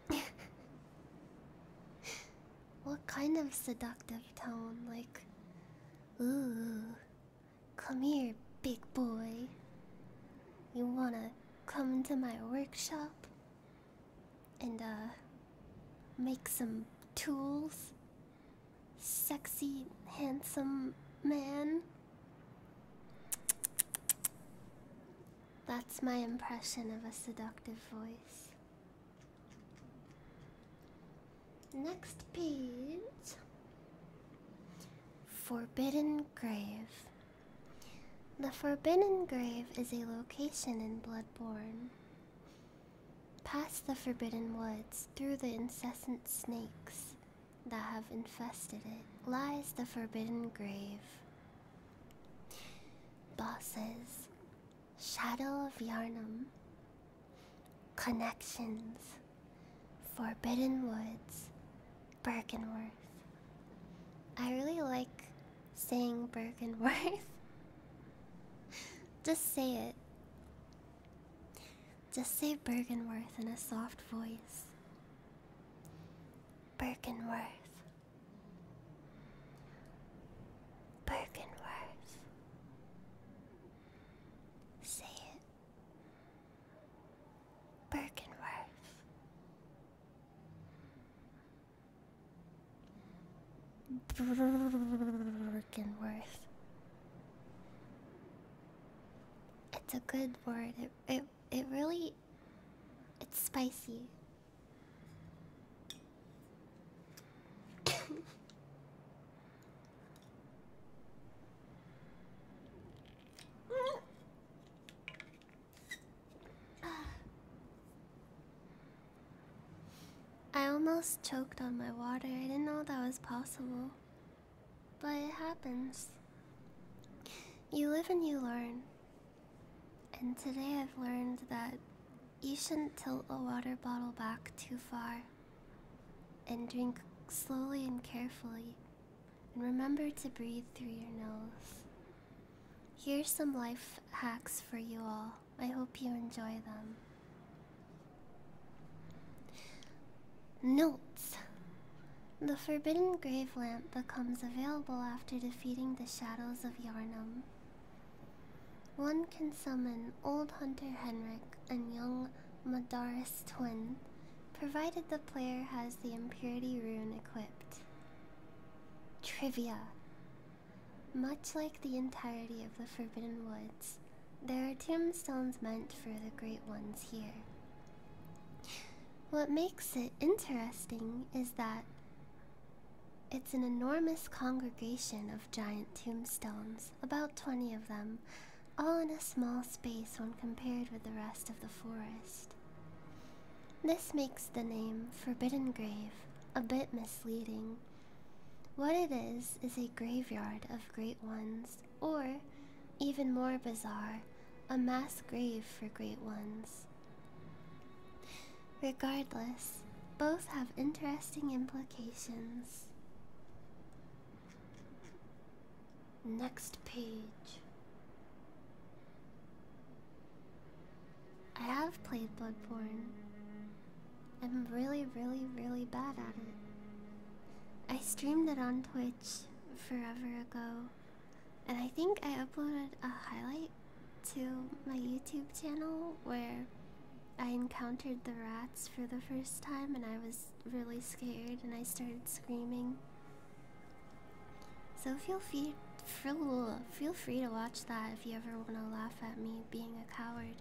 what kind of seductive tone? Like, ooh, come here, big boy. You wanna come to my workshop? and uh make some tools sexy handsome man that's my impression of a seductive voice next page forbidden grave the Forbidden Grave is a location in Bloodborne. Past the Forbidden Woods, through the incessant snakes that have infested it, lies the Forbidden Grave. Bosses, Shadow of Yarnum, Connections, Forbidden Woods, Birkenworth. I really like saying Bergenworth. Just say it. Just say Bergenworth in a soft voice. Bergenworth. Bergenworth. Say it. Bergenworth. Birkenworth. It's a good word. It it it really it's spicy. I almost choked on my water. I didn't know that was possible. But it happens. You live and you learn. And today I've learned that you shouldn't tilt a water bottle back too far. And drink slowly and carefully. And remember to breathe through your nose. Here's some life hacks for you all. I hope you enjoy them. Notes The Forbidden Grave Lamp becomes available after defeating the Shadows of Yarnum. One can summon Old Hunter Henrik and young Madaris Twin, provided the player has the Impurity Rune equipped. Trivia. Much like the entirety of the Forbidden Woods, there are tombstones meant for the great ones here. What makes it interesting is that it's an enormous congregation of giant tombstones, about 20 of them, all in a small space when compared with the rest of the forest. This makes the name Forbidden Grave a bit misleading. What it is is a graveyard of great ones, or, even more bizarre, a mass grave for great ones. Regardless, both have interesting implications. Next page. I have played Bloodborne. I'm really, really, really bad at it. I streamed it on Twitch forever ago, and I think I uploaded a highlight to my YouTube channel where I encountered the rats for the first time, and I was really scared and I started screaming. So feel free, feel free to watch that if you ever want to laugh at me being a coward.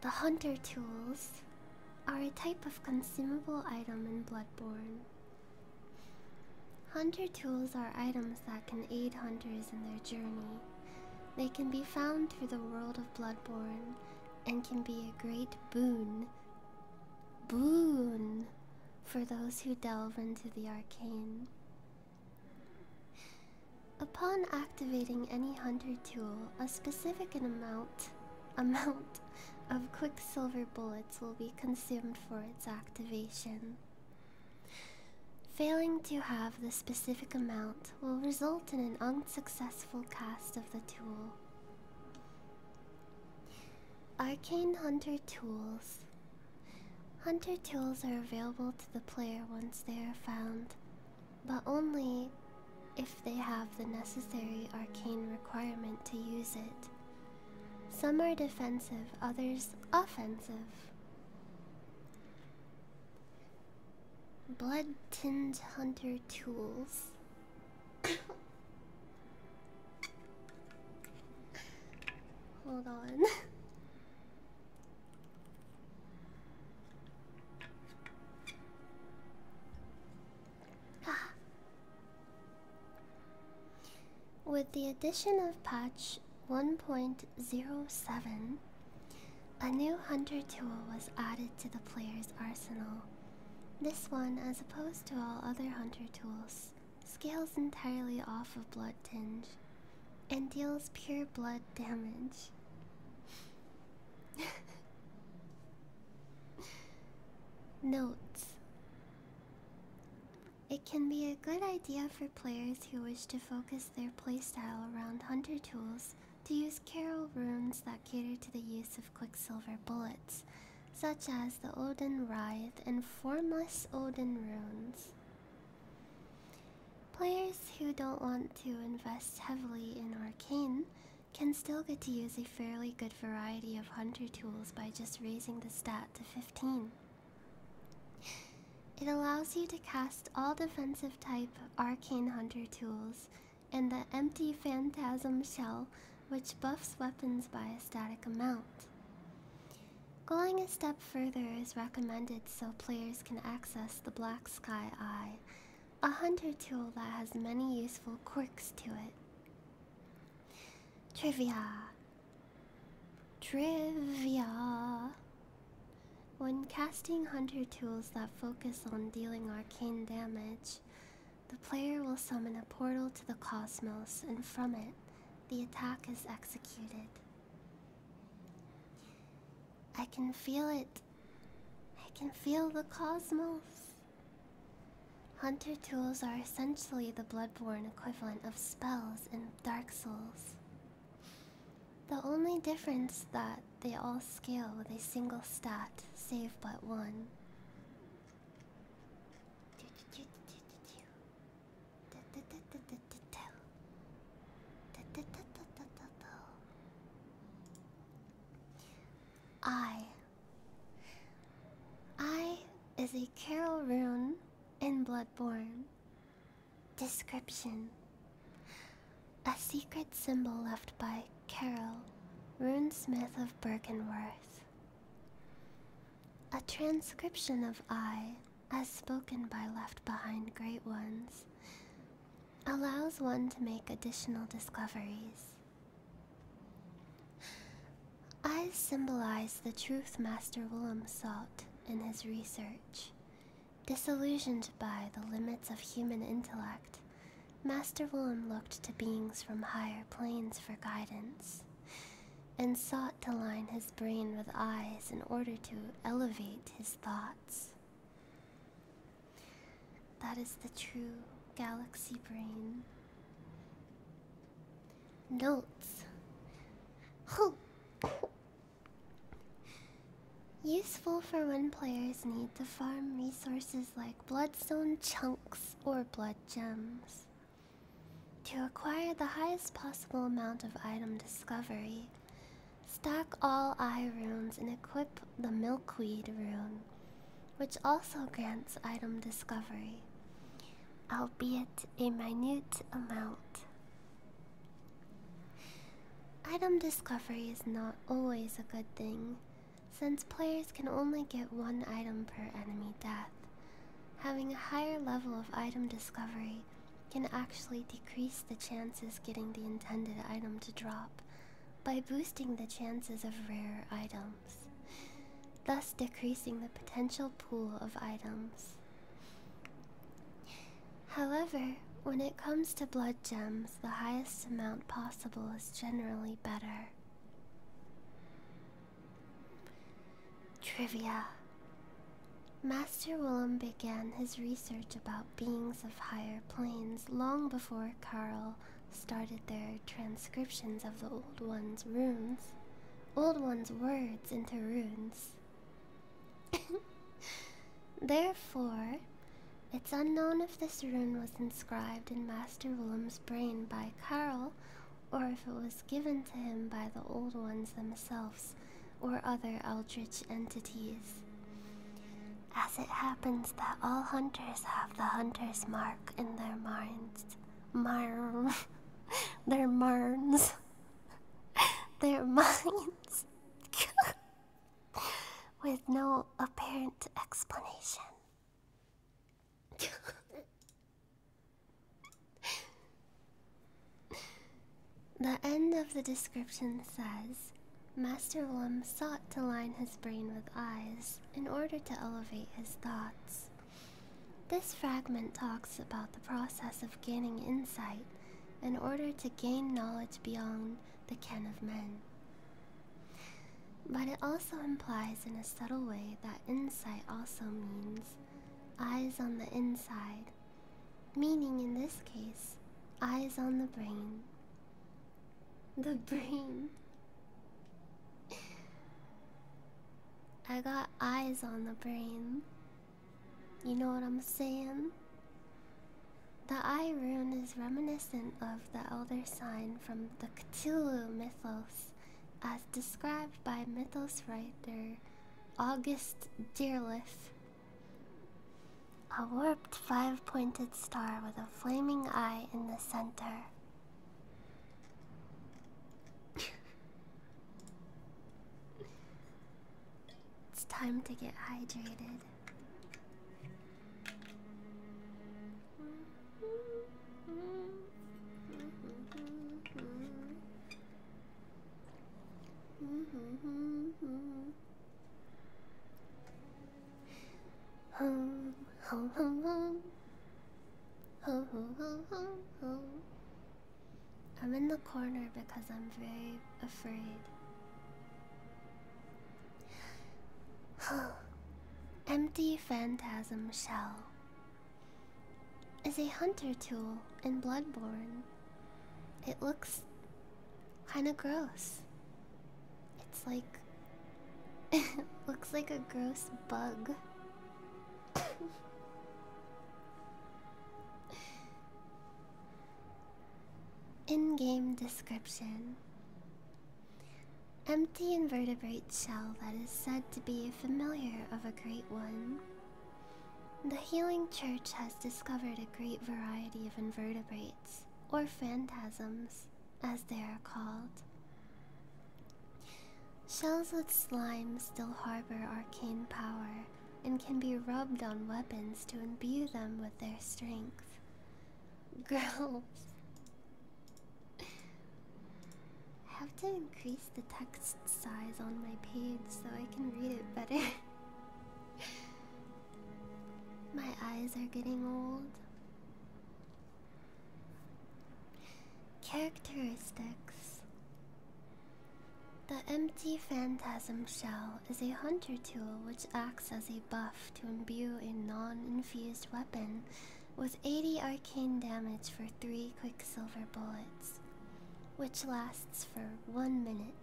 The hunter tools are a type of consumable item in Bloodborne. Hunter tools are items that can aid hunters in their journey. They can be found through the world of Bloodborne and can be a great boon. Boon for those who delve into the arcane. Upon activating any hunter tool, a specific amount amount of quicksilver bullets will be consumed for its activation. Failing to have the specific amount will result in an unsuccessful cast of the tool. Arcane Hunter Tools. Hunter tools are available to the player once they are found, but only if they have the necessary arcane requirement to use it. Some are defensive, others offensive. Blood Tinge Hunter Tools. Hold on. With the addition of patch 1.07, a new hunter tool was added to the player's arsenal. This one, as opposed to all other hunter tools, scales entirely off of blood tinge and deals pure blood damage. Notes It can be a good idea for players who wish to focus their playstyle around hunter tools to use carol runes that cater to the use of quicksilver bullets such as the Odin Writhe and formless Odin runes. Players who don't want to invest heavily in Arcane can still get to use a fairly good variety of hunter tools by just raising the stat to 15. It allows you to cast all defensive type arcane hunter tools and the empty phantasm shell, which buffs weapons by a static amount. Going a step further is recommended so players can access the Black Sky Eye, a hunter tool that has many useful quirks to it. Trivia. Trivia. When casting hunter tools that focus on dealing arcane damage, the player will summon a portal to the cosmos and from it, the attack is executed. I can feel it. I can feel the cosmos. Hunter tools are essentially the bloodborne equivalent of spells in Dark Souls. The only difference that they all scale with a single stat, save but one. I. I is a carol rune in Bloodborne. Description A secret symbol left by Carol, Smith of Bergenworth, a transcription of I, as spoken by left behind great ones, allows one to make additional discoveries. "I" symbolize the truth Master Willem sought in his research. Disillusioned by the limits of human intellect, Master Willem looked to beings from higher planes for guidance and sought to line his brain with eyes in order to elevate his thoughts. That is the true galaxy brain. Notes. Useful for when players need to farm resources like bloodstone chunks or blood gems. To acquire the highest possible amount of item discovery, stack all eye runes and equip the milkweed rune, which also grants item discovery, albeit a minute amount. Item discovery is not always a good thing, since players can only get one item per enemy death. Having a higher level of item discovery can actually decrease the chances getting the intended item to drop by boosting the chances of rare items, thus decreasing the potential pool of items. However, when it comes to blood gems, the highest amount possible is generally better. Trivia Master Willem began his research about beings of higher planes long before Karl started their transcriptions of the Old One's runes. Old One's words into runes. Therefore, it's unknown if this rune was inscribed in Master Willem's brain by Karl or if it was given to him by the old ones themselves or other eldritch entities. As it happens that all hunters have the hunter's mark in their minds. Marm. their marns. their minds. With no apparent explanation the end of the description says Master Lum sought to line his brain with eyes in order to elevate his thoughts. This fragment talks about the process of gaining insight in order to gain knowledge beyond the ken of men. But it also implies in a subtle way that insight also means eyes on the inside, meaning in this case, eyes on the brain. The brain. I got eyes on the brain. You know what I'm saying? The eye rune is reminiscent of the elder sign from the Cthulhu mythos, as described by mythos writer August Dearless. A warped five pointed star with a flaming eye in the center. it's time to get hydrated. I'm in the corner because I'm very afraid. Empty phantasm shell. As a hunter tool in Bloodborne. It looks kind of gross. It's like. looks like a gross bug. in game description. Empty invertebrate shell that is said to be a familiar of a great one. The Healing Church has discovered a great variety of invertebrates, or phantasms, as they are called. Shells with slime still harbor arcane power and can be rubbed on weapons to imbue them with their strength. Girls. I have to increase the text size on my page so I can read it better. my eyes are getting old. Characteristics The empty phantasm shell is a hunter tool which acts as a buff to imbue a non infused weapon with 80 arcane damage for three quicksilver bullets, which lasts for one minute.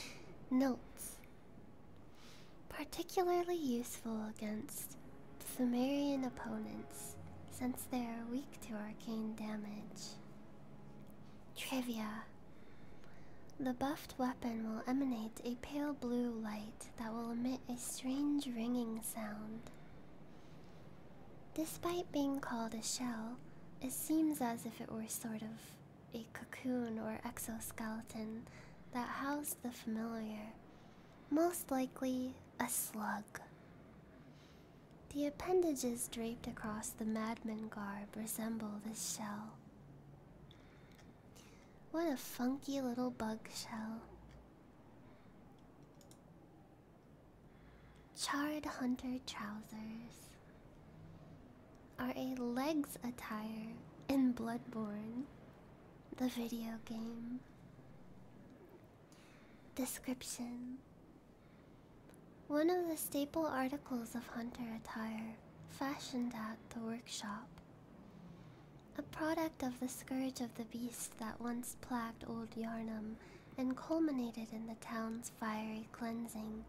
Notes Particularly useful against Fumarian opponents since they are weak to arcane damage. Trivia The buffed weapon will emanate a pale blue light that will emit a strange ringing sound. Despite being called a shell, it seems as if it were sort of a cocoon or exoskeleton that housed the familiar, most likely a slug. The appendages draped across the madman garb resemble this shell. What a funky little bug shell. Charred hunter trousers are a legs attire in Bloodborne, the video game. Description One of the staple articles of hunter attire, fashioned at the workshop. A product of the scourge of the beast that once plagued old Yarnum and culminated in the town's fiery cleansing.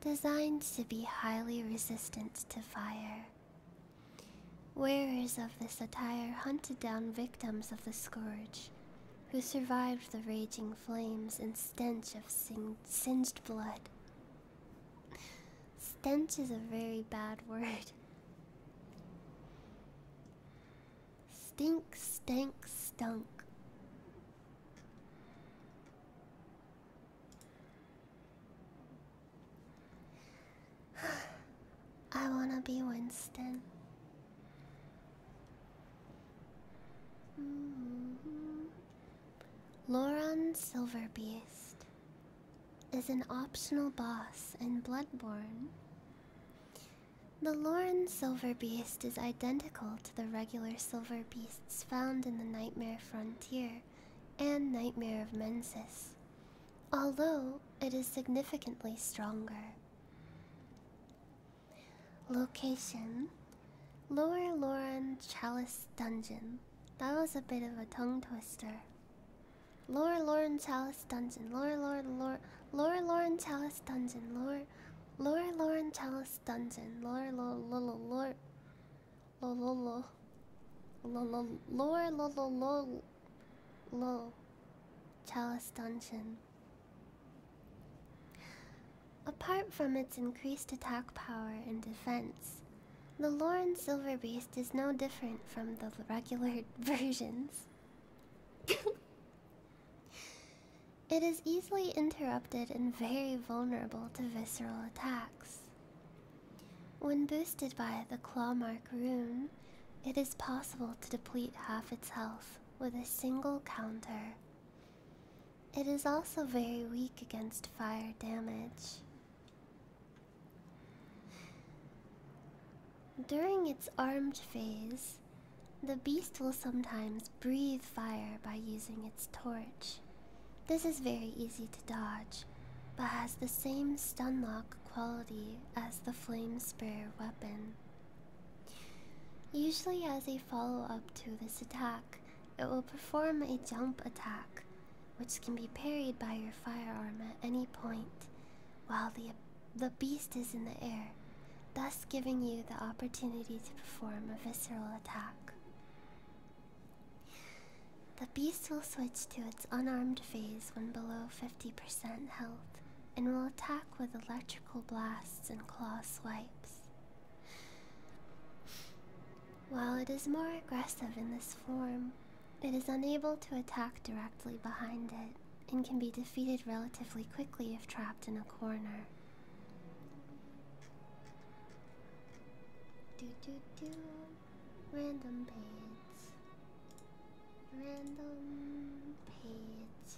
Designed to be highly resistant to fire. Wearers of this attire hunted down victims of the scourge, who survived the raging flames and stench of singed blood. Stench is a very bad word. Stink, stink, stunk. I want to be Winston. Mm mm-hmm. Silverbeast is an optional boss in Bloodborne. The Lauren silver beast is identical to the regular silver beasts found in the Nightmare Frontier and Nightmare of Mensis, although it is significantly stronger. Location Lower Lauren Chalice Dungeon. That was a bit of a tongue twister. Lower Lauren Chalice. Chalice Dungeon. Lore, lore, lore. Lore, Lauren Chalice Dungeon. Lore, lore, Lauren Chalice Dungeon. Lore, lore, lore, lore. Lore, lore, lore. Lore, lore, lore. Lore. Chalice Dungeon. Apart from its increased attack power and defense, the Lauren Silver Beast is no different from the regular versions. It is easily interrupted and very vulnerable to visceral attacks. When boosted by the Clawmark rune, it is possible to deplete half its health with a single counter. It is also very weak against fire damage. During its armed phase, the beast will sometimes breathe fire by using its torch. This is very easy to dodge, but has the same stun lock quality as the flame sprayer weapon. Usually, as a follow up to this attack, it will perform a jump attack, which can be parried by your firearm at any point, while the the beast is in the air, thus giving you the opportunity to perform a visceral attack. The beast will switch to its unarmed phase when below 50% health and will attack with electrical blasts and claw swipes. While it is more aggressive in this form, it is unable to attack directly behind it and can be defeated relatively quickly if trapped in a corner. Do do do random page. Random page.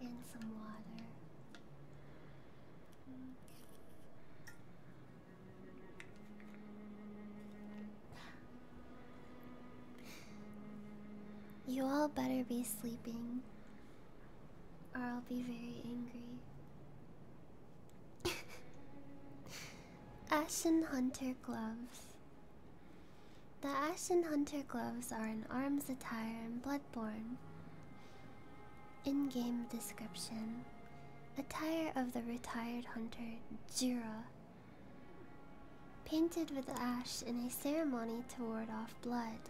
And some water. You all better be sleeping, or I'll be very angry. Ashen Hunter Gloves. The Ashen Hunter Gloves are an arms attire in Bloodborne. In game description Attire of the retired hunter Jira Painted with ash in a ceremony to ward off blood,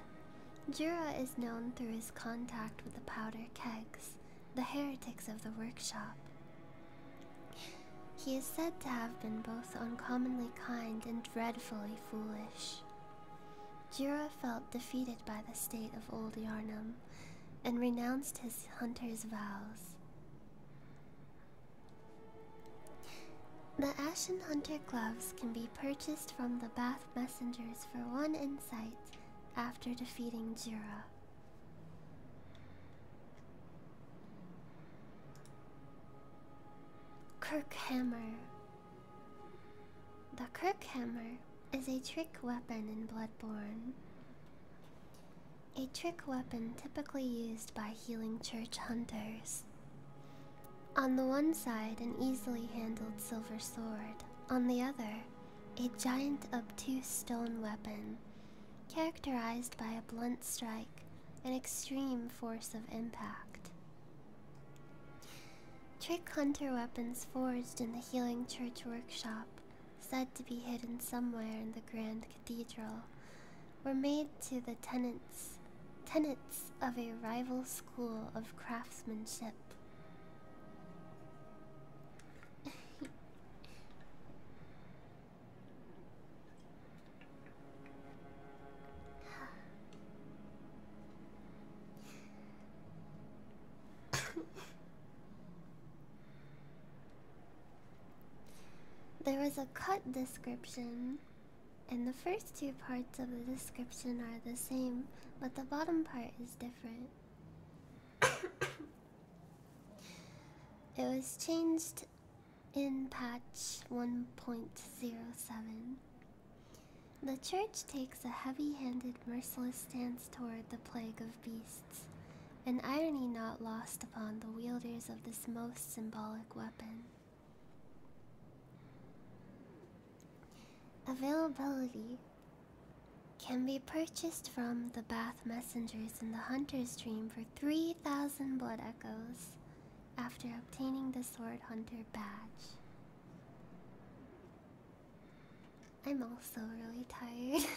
Jura is known through his contact with the powder kegs, the heretics of the workshop. He is said to have been both uncommonly kind and dreadfully foolish. Jura felt defeated by the state of Old Yarnum and renounced his hunter's vows. The Ashen Hunter gloves can be purchased from the Bath Messengers for one insight after defeating Jura. Kirkhammer. The Kirkhammer is a trick weapon in Bloodborne a trick weapon typically used by healing church hunters. On the one side, an easily handled silver sword, on the other, a giant obtuse stone weapon, characterized by a blunt strike and extreme force of impact. Trick hunter weapons forged in the Healing Church workshop, said to be hidden somewhere in the Grand Cathedral were made to the tenants, tenants of a rival school of craftsmanship. There is a cut description, and the first two parts of the description are the same, but the bottom part is different. it was changed in patch 1.07. The church takes a heavy handed, merciless stance toward the plague of beasts, an irony not lost upon the wielders of this most symbolic weapon. Availability can be purchased from the Bath Messengers in the Hunter's Dream for 3,000 Blood Echoes after obtaining the Sword Hunter badge. I'm also really tired.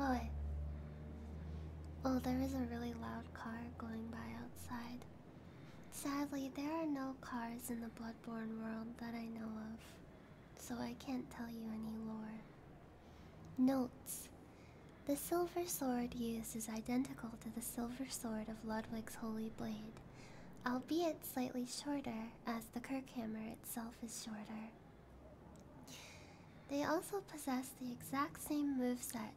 Oh, Oh, there is a really loud car going by outside. Sadly, there are no cars in the Bloodborne world that I know of, so I can't tell you any lore. Notes The silver sword used is identical to the silver sword of Ludwig's Holy Blade, albeit slightly shorter as the Kirkhammer itself is shorter. They also possess the exact same moveset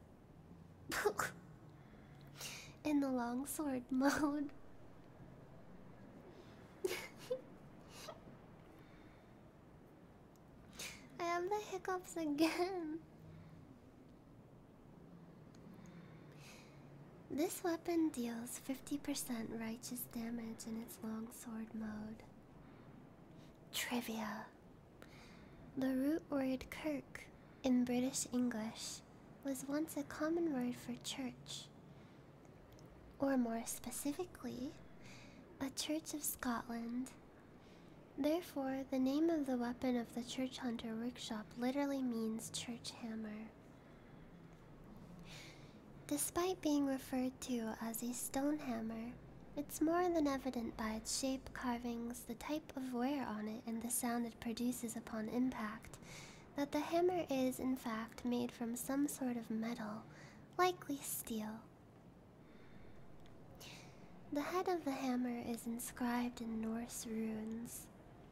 in the longsword mode. I have the hiccups again. This weapon deals 50% righteous damage in its longsword mode. Trivia The root word kirk in British English was once a common word for church. Or more specifically, a church of Scotland. Therefore, the name of the weapon of the church hunter workshop literally means church hammer. Despite being referred to as a stone hammer, it's more than evident by its shape, carvings, the type of wear on it, and the sound it produces upon impact that the hammer is, in fact, made from some sort of metal, likely steel. The head of the hammer is inscribed in Norse runes,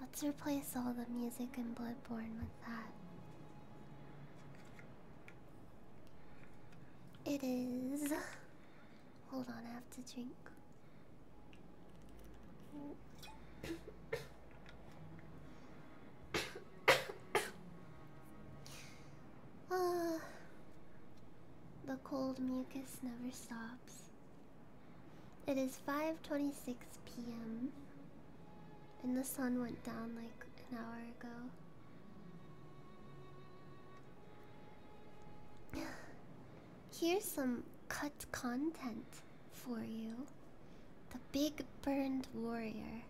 Let's replace all the music in Bloodborne with that. It is. Hold on, I have to drink. Uh, the cold mucus never stops. It is 5:26 p.m. and the sun went down like an hour ago. Here's some cut content for you. The Big Burned Warrior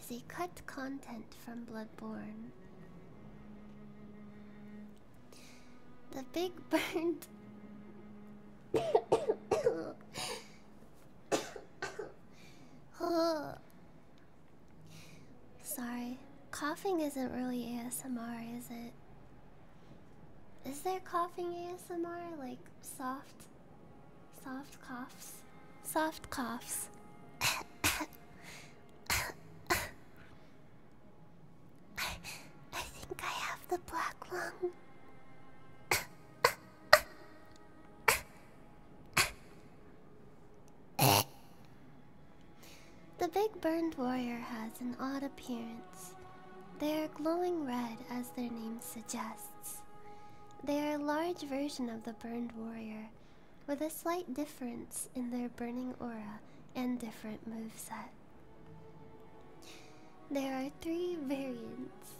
is a cut content from Bloodborne. The big burned. Sorry, coughing isn't really ASMR, is it? Is there coughing ASMR? Like soft, soft coughs? Soft coughs. I, think I have the black lung. the big burned warrior has an odd appearance. They are glowing red, as their name suggests. They are a large version of the burned warrior with a slight difference in their burning aura and different moveset. There are three variants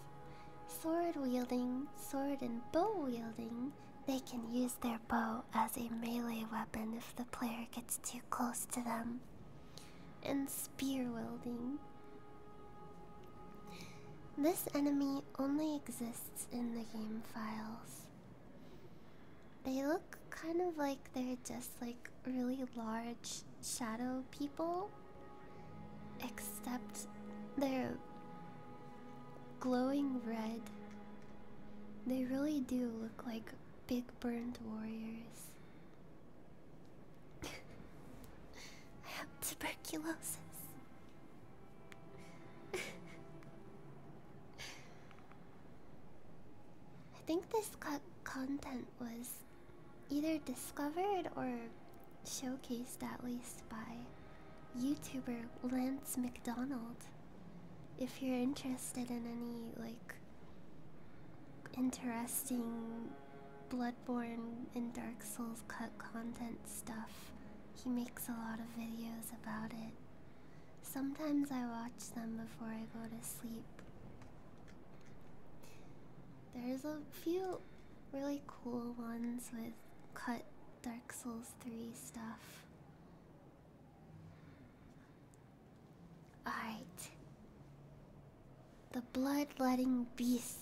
sword wielding, sword and bow wielding. They can use their bow as a melee weapon if the player gets too close to them. And spear wielding. This enemy only exists in the game files. They look kind of like they're just like really large shadow people, except they're glowing red. They really do look like big burned warriors. I have tuberculosis. I think this co content was either discovered or showcased at least by YouTuber Lance McDonald. If you're interested in any like interesting Bloodborne and Dark Souls cut content stuff, he makes a lot of videos about it. Sometimes I watch them before I go to sleep. There's a few really cool ones with cut Dark Souls 3 stuff. Alright. The Bloodletting Beast.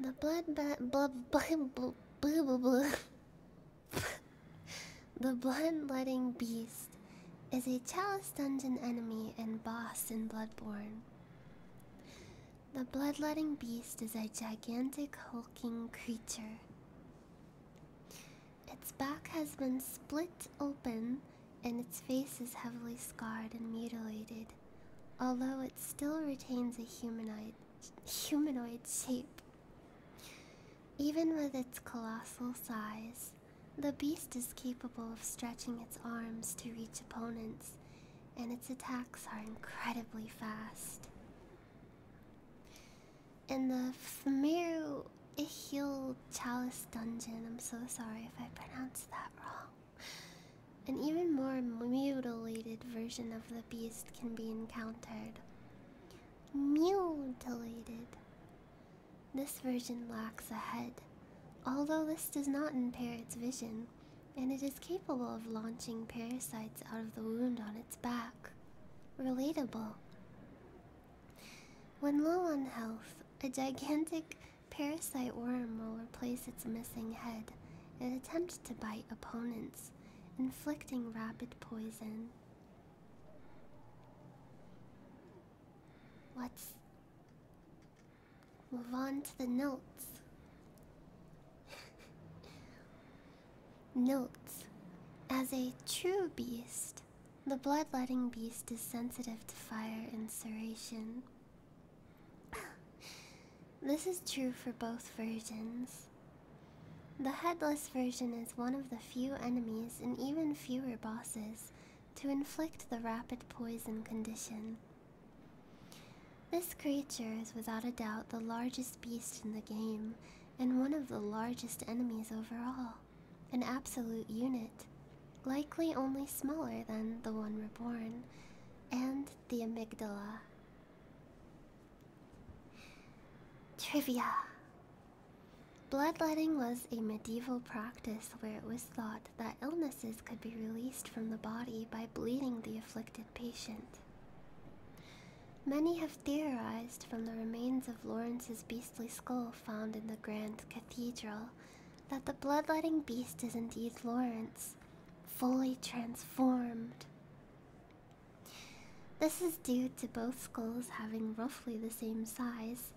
The blood, blood, blood, blood, blood, blood, blood, the bloodletting beast is a chalice dungeon enemy and boss in Bloodborne. The bloodletting beast is a gigantic hulking creature. Its back has been split open and its face is heavily scarred and mutilated, although it still retains a humanoid humanoid shape. Even with its colossal size, the beast is capable of stretching its arms to reach opponents, and its attacks are incredibly fast. In the Fmeru Ihil Chalice Dungeon, I'm so sorry if I pronounced that wrong. An even more mutilated version of the beast can be encountered, Mutilated. This version lacks a head, although this does not impair its vision, and it is capable of launching parasites out of the wound on its back. Relatable. When low on health, a gigantic parasite worm will replace its missing head and attempt to bite opponents inflicting rapid poison. Let's move on to the notes. notes. As a true beast, the bloodletting beast is sensitive to fire and serration. this is true for both versions. The headless version is one of the few enemies and even fewer bosses to inflict the rapid poison condition. This creature is without a doubt the largest beast in the game and one of the largest enemies overall, an absolute unit, likely only smaller than the one reborn, and the amygdala, Trivia Bloodletting was a medieval practice where it was thought that illnesses could be released from the body by bleeding the afflicted patient. Many have theorized from the remains of Lawrence's beastly skull found in the Grand Cathedral that the bloodletting beast is indeed Lawrence, fully transformed. This is due to both skulls having roughly the same size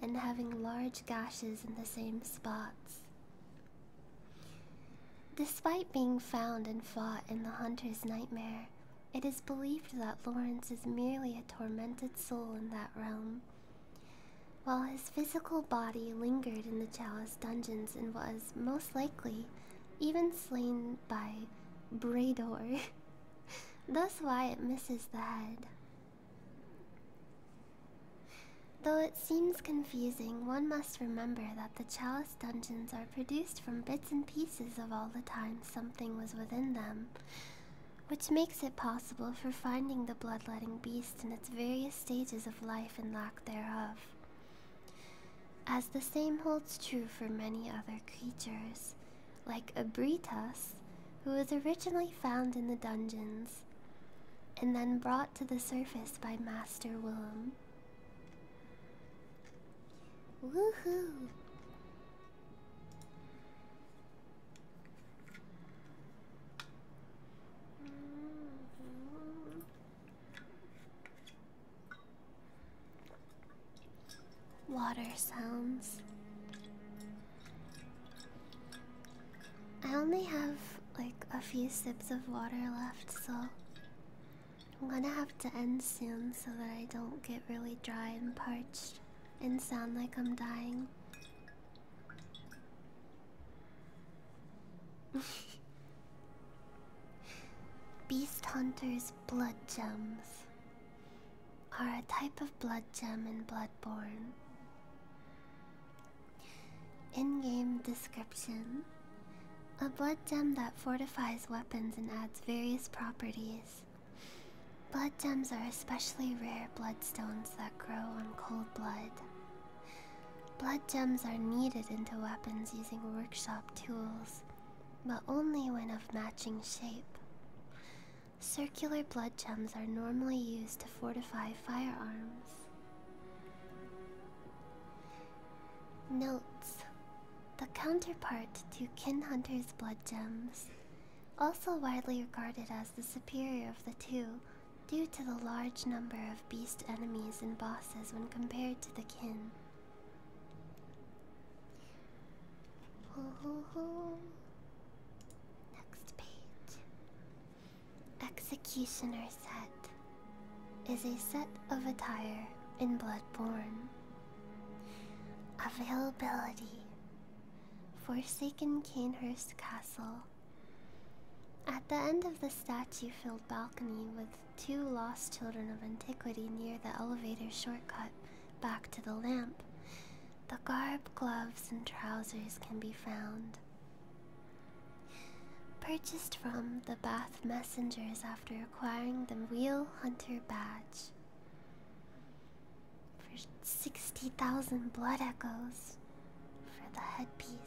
and having large gashes in the same spots. Despite being found and fought in the hunter's nightmare, it is believed that Lawrence is merely a tormented soul in that realm. While his physical body lingered in the Chalice dungeons and was, most likely, even slain by Brador. That's why it misses the head. Though it seems confusing, one must remember that the chalice dungeons are produced from bits and pieces of all the time something was within them, which makes it possible for finding the bloodletting beast in its various stages of life and lack thereof. As the same holds true for many other creatures, like Abritus, who was originally found in the dungeons and then brought to the surface by Master Willem. Woohoo! Water sounds. I only have like a few sips of water left, so I'm gonna have to end soon so that I don't get really dry and parched and sound like I'm dying. Beast hunters blood gems are a type of blood gem in Bloodborne. In game description A blood gem that fortifies weapons and adds various properties. Blood gems are especially rare bloodstones that grow on cold blood. Blood gems are kneaded into weapons using workshop tools but only when of matching shape. Circular blood gems are normally used to fortify firearms. Notes The counterpart to Kin Hunter's blood gems, also widely regarded as the superior of the two due to the large number of beast enemies and bosses when compared to the kin. Next page. Executioner set is a set of attire in Bloodborne. Availability Forsaken Canehurst Castle. At the end of the statue filled balcony with two lost children of antiquity near the elevator shortcut back to the lamp. The garb, gloves, and trousers can be found. Purchased from the Bath Messengers after acquiring the Wheel Hunter badge. For 60,000 blood echoes for the headpiece.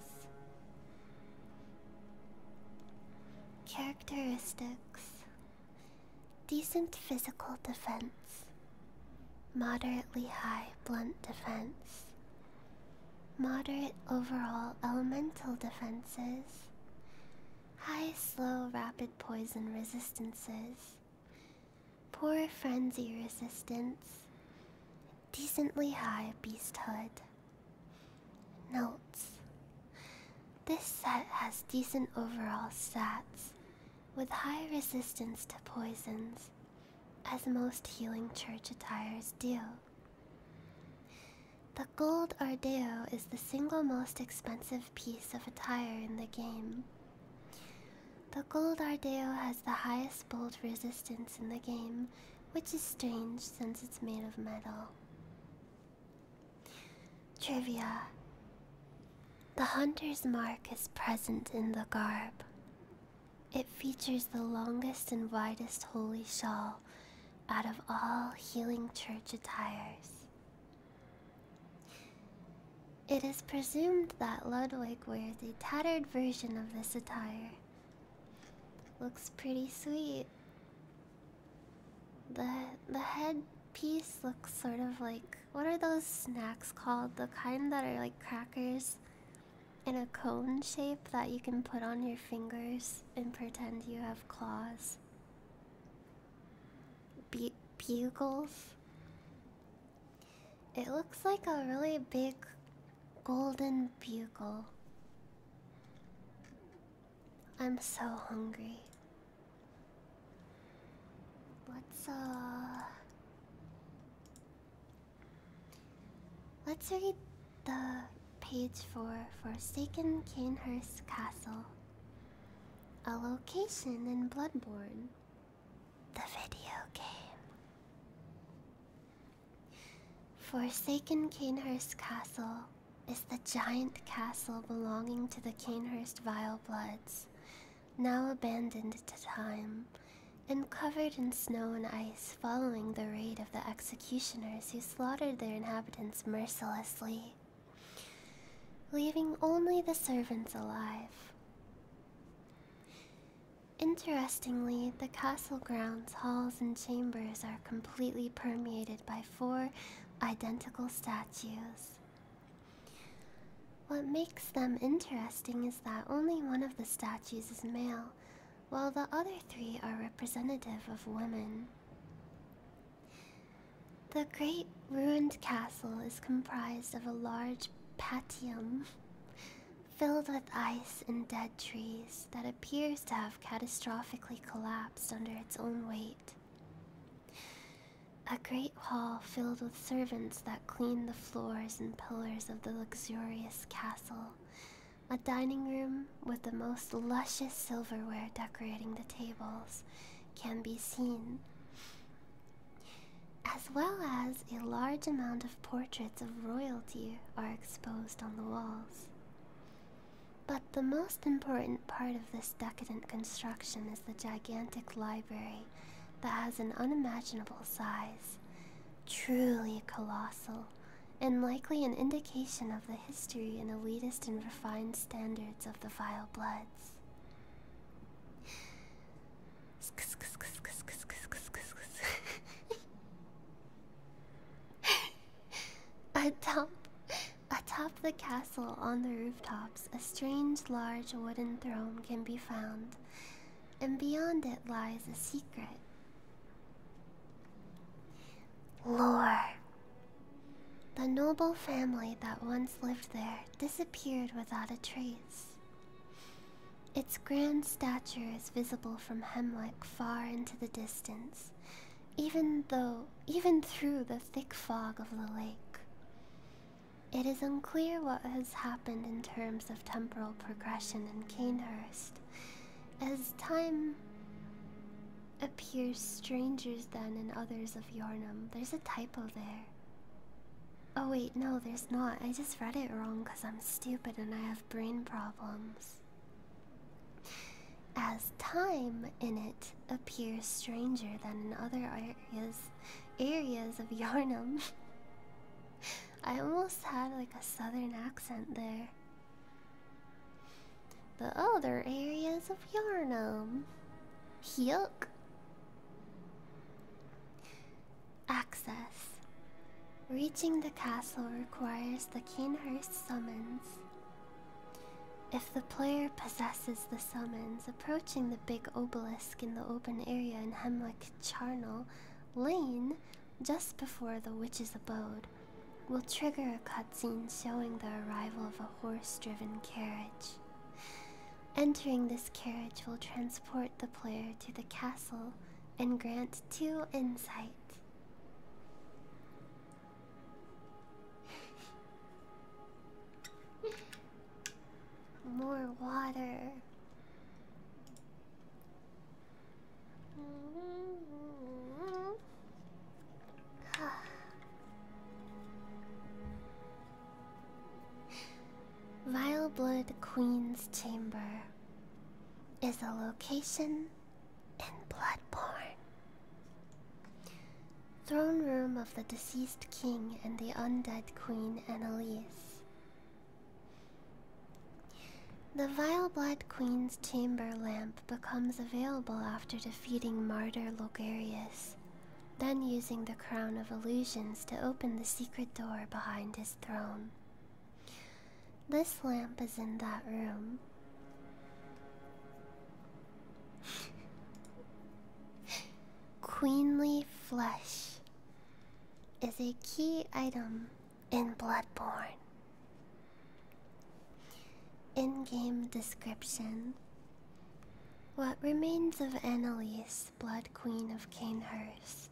Characteristics Decent physical defense. Moderately high blunt defense. Moderate overall elemental defenses. High slow rapid poison resistances. Poor frenzy resistance. Decently high beasthood. Notes this set has decent overall stats, with high resistance to poisons, as most healing church attires do. The gold Ardeo is the single most expensive piece of attire in the game. The gold Ardeo has the highest bolt resistance in the game, which is strange since it's made of metal. Trivia The hunter's mark is present in the garb. It features the longest and widest holy shawl out of all healing church attires. It is presumed that Ludwig wears a tattered version of this attire. Looks pretty sweet. The the headpiece looks sort of like what are those snacks called? The kind that are like crackers in a cone shape that you can put on your fingers and pretend you have claws. bugles. It looks like a really big golden bugle. I'm so hungry. Let's uh Let's read the page for Forsaken Canehurst Castle. A location in Bloodborne. The video game. Forsaken Canehurst Castle is the giant castle belonging to the Canehurst Vile Bloods, now abandoned to time, and covered in snow and ice following the raid of the executioners who slaughtered their inhabitants mercilessly, leaving only the servants alive. Interestingly, the castle grounds, halls, and chambers are completely permeated by four identical statues what makes them interesting is that only one of the statues is male, while the other three are representative of women. The great ruined castle is comprised of a large patium filled with ice and dead trees that appears to have catastrophically collapsed under its own weight a great hall filled with servants that clean the floors and pillars of the luxurious castle, a dining room with the most luscious silverware decorating the tables can be seen, as well as a large amount of portraits of royalty are exposed on the walls. But the most important part of this decadent construction is the gigantic library that has an unimaginable size, truly colossal, and likely an indication of the history and elitist and refined standards of the vile bloods. Atop Atop the castle on the rooftops, a strange large wooden throne can be found, and beyond it lies a secret. Lore. The noble family that once lived there disappeared without a trace. Its grand stature is visible from Hemlock far into the distance, even though, even through the thick fog of the lake. It is unclear what has happened in terms of temporal progression in Canehurst, as time appears strangers than in others of Yornum. There's a typo there. Oh wait, no, there's not. I just read it wrong because I'm stupid and I have brain problems. As time in it appear stranger than in other areas areas of Yarnum. I almost had like a southern accent there. The other areas of Yarnum. Yuck. Access. Reaching the castle requires the Canehurst summons. If the player possesses the summons, approaching the big obelisk in the open area in Hemlock Charnel Lane just before the witch's abode will trigger a cutscene showing the arrival of a horse driven carriage. Entering this carriage will transport the player to the castle and grant two insight. More water. Vileblood Queen's Chamber is a location in Bloodborne. Throne room of the deceased king and the undead queen Annalise. The vile blood Queen's chamber lamp becomes available after defeating martyr Logarius, then using the Crown of Illusions to open the secret door behind his throne. This lamp is in that room. Queenly flesh is a key item in Bloodborne. In game description What remains of Annalise, Blood Queen of Canehurst?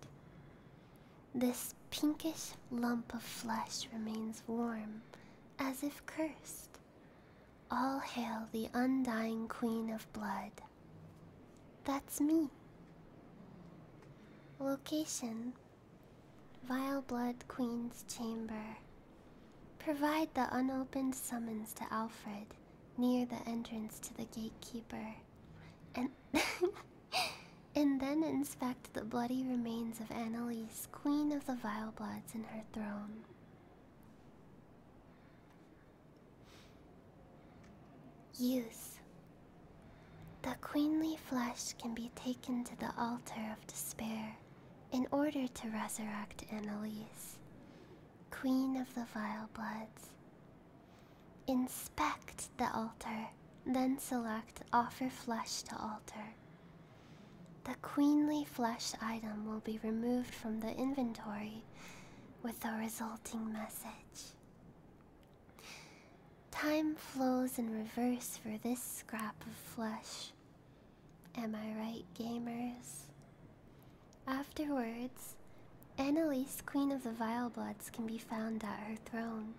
This pinkish lump of flesh remains warm, as if cursed. All hail the undying Queen of Blood. That's me. Location Vile Blood Queen's Chamber. Provide the unopened summons to Alfred near the entrance to the gatekeeper. And, and then inspect the bloody remains of Annalise, Queen of the Vile Bloods, in her throne. Use. The queenly flesh can be taken to the altar of despair in order to resurrect Annalise, queen of the vile bloods. Inspect the altar, then select Offer Flesh to Altar. The queenly flesh item will be removed from the inventory with the resulting message. Time flows in reverse for this scrap of flesh. Am I right, gamers? Afterwards, Annalise, Queen of the Vilebloods, can be found at her throne,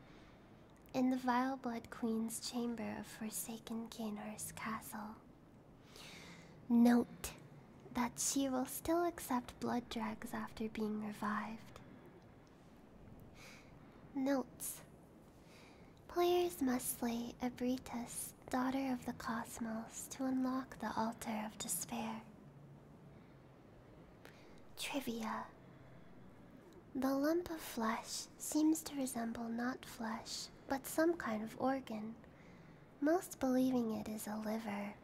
in the Vileblood Queen's chamber of Forsaken Canar's castle. Note that she will still accept blood drags after being revived. Notes Players must slay Abritus, daughter of the cosmos, to unlock the altar of despair. Trivia The lump of flesh seems to resemble not flesh, but some kind of organ, most believing it is a liver.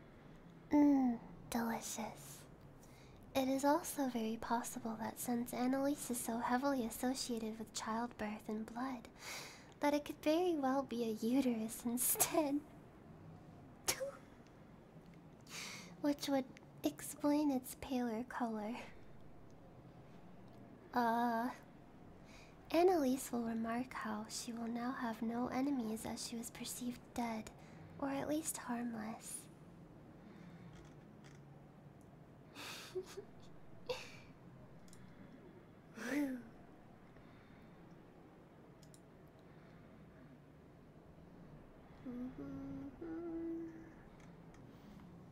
Mmm, delicious. It is also very possible that since Annalise is so heavily associated with childbirth and blood, that it could very well be a uterus instead. Which would explain its paler color. Uh, Annalise will remark how she will now have no enemies as she was perceived dead, or at least harmless.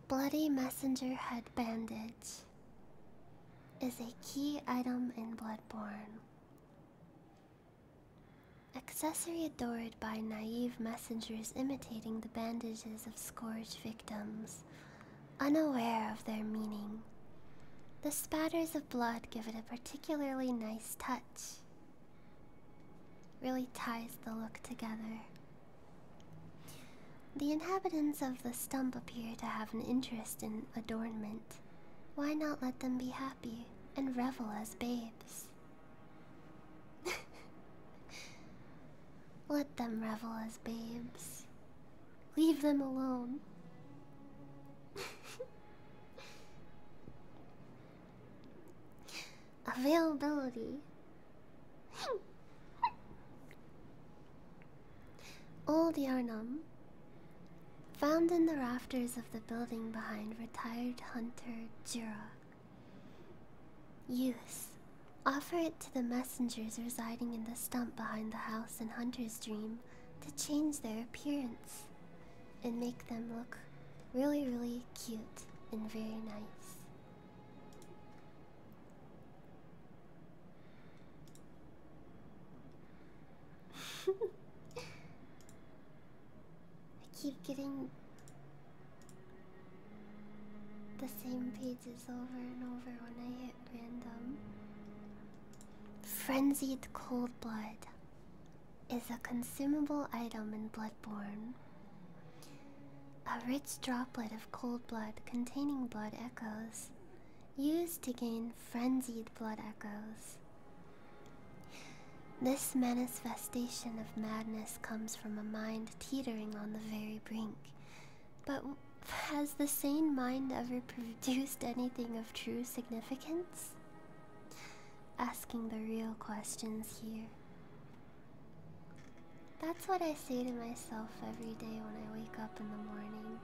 Bloody messenger head bandage is a key item in Bloodborne. Accessory adored by naive messengers imitating the bandages of scourge victims, unaware of their meaning. The spatters of blood give it a particularly nice touch. Really ties the look together. The inhabitants of the stump appear to have an interest in adornment. Why not let them be happy and revel as babes? let them revel as babes. Leave them alone. Availability. Old Yarnum, found in the rafters of the building behind retired hunter Jura. Use. Offer it to the messengers residing in the stump behind the house in Hunter's Dream to change their appearance and make them look really, really cute and very nice. I keep getting the same pages over and over when I hit random. Frenzied Cold Blood is a consumable item in Bloodborne. A rich droplet of cold blood containing blood echoes used to gain frenzied blood echoes. This manifestation of madness comes from a mind teetering on the very brink. But has the sane mind ever produced anything of true significance? Asking the real questions here. That's what I say to myself every day when I wake up in the morning.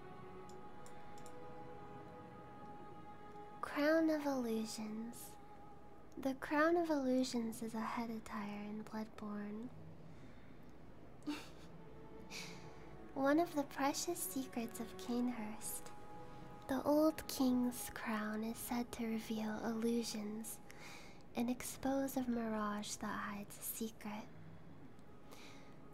Crown of Illusions. The Crown of Illusions is a head attire in Bloodborne. One of the precious secrets of Canehurst. The old king's crown is said to reveal illusions and expose a mirage that hides a secret.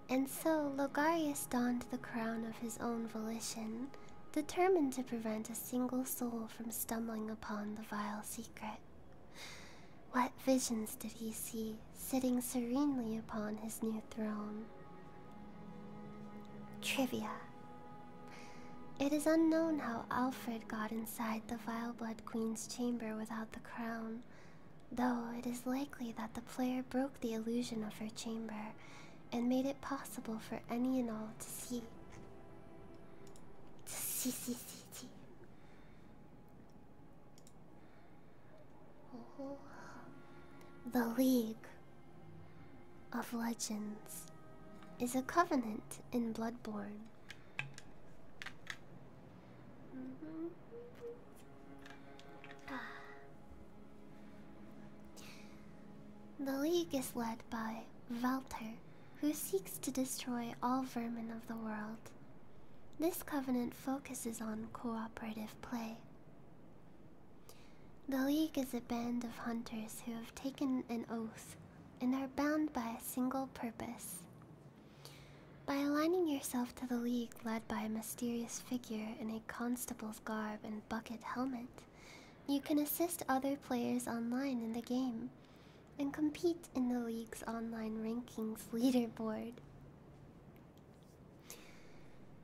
And so Logarius donned the crown of his own volition, determined to prevent a single soul from stumbling upon the vile secret. What visions did he see sitting serenely upon his new throne? Trivia It is unknown how Alfred got inside the vile blood Queen's chamber without the crown, though it is likely that the player broke the illusion of her chamber and made it possible for any and all to see. The League of Legends is a covenant in Bloodborne. Mm-hmm. The League is led by Valter, who seeks to destroy all vermin of the world. This covenant focuses on cooperative play. The League is a band of hunters who have taken an oath and are bound by a single purpose. By aligning yourself to the League, led by a mysterious figure in a constable's garb and bucket helmet. You can assist other players online in the game and compete in the league's online rankings leaderboard.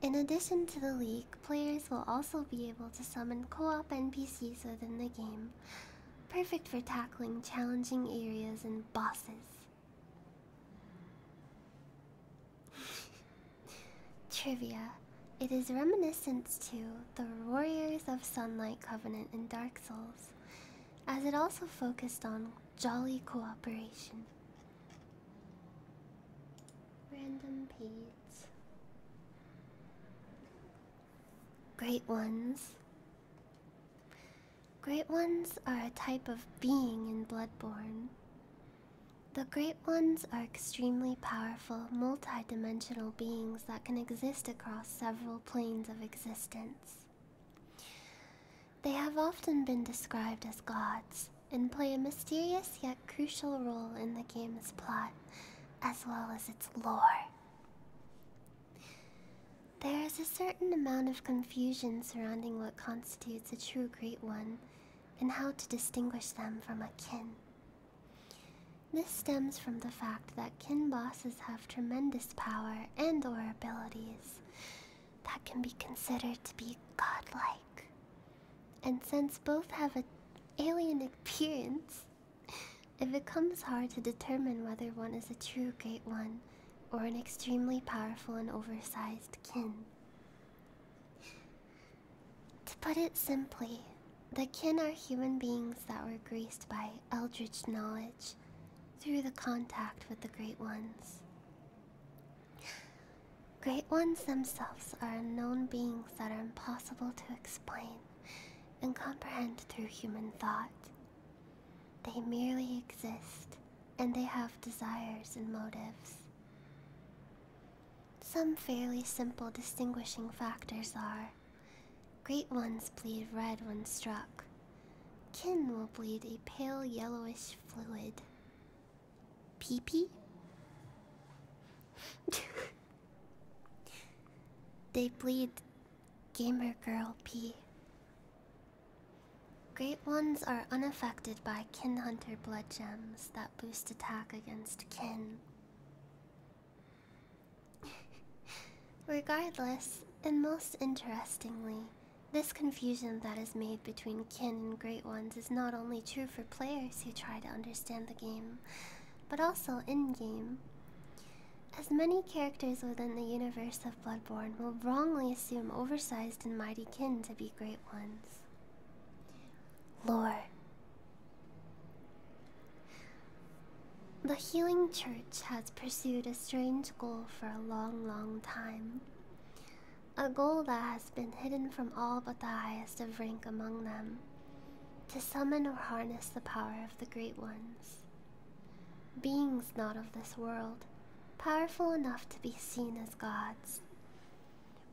In addition to the league, players will also be able to summon co op NPCs within the game, perfect for tackling challenging areas and bosses. Trivia. It is reminiscent to the Warriors of Sunlight Covenant in Dark Souls, as it also focused on jolly cooperation. Random peeps. Great ones. Great ones are a type of being in Bloodborne. The Great Ones are extremely powerful, multidimensional beings that can exist across several planes of existence. They have often been described as gods and play a mysterious yet crucial role in the game's plot as well as its lore. There is a certain amount of confusion surrounding what constitutes a true Great One and how to distinguish them from a kin. This stems from the fact that kin bosses have tremendous power and or abilities that can be considered to be godlike. And since both have an alien appearance, it becomes hard to determine whether one is a true great one or an extremely powerful and oversized kin. To put it simply, the kin are human beings that were graced by eldritch knowledge through the contact with the Great Ones. Great Ones themselves are unknown beings that are impossible to explain and comprehend through human thought. They merely exist, and they have desires and motives. Some fairly simple distinguishing factors are great ones bleed red when struck, kin will bleed a pale yellowish fluid. Pee pee? they bleed gamer girl pee. Great ones are unaffected by kin hunter blood gems that boost attack against kin. Regardless, and most interestingly, this confusion that is made between kin and great ones is not only true for players who try to understand the game, but also in game. As many characters within the universe of Bloodborne will wrongly assume oversized and mighty kin to be great ones. Lore. The Healing Church has pursued a strange goal for a long, long time. A goal that has been hidden from all but the highest of rank among them to summon or harness the power of the Great Ones. Beings not of this world, powerful enough to be seen as gods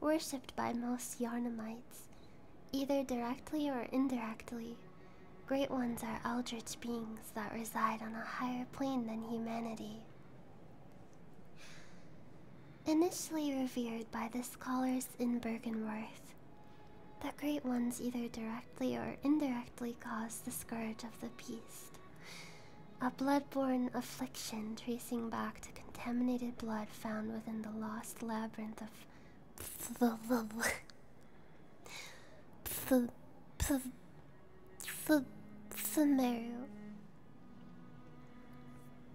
worshipped by most Yarnamites, either directly or indirectly. Great ones are eldritch beings that reside on a higher plane than humanity. Initially revered by the scholars in Bergenworth, the Great Ones either directly or indirectly cause the scourge of the beast, a blood bloodborne affliction tracing back to contaminated blood found within the lost labyrinth of The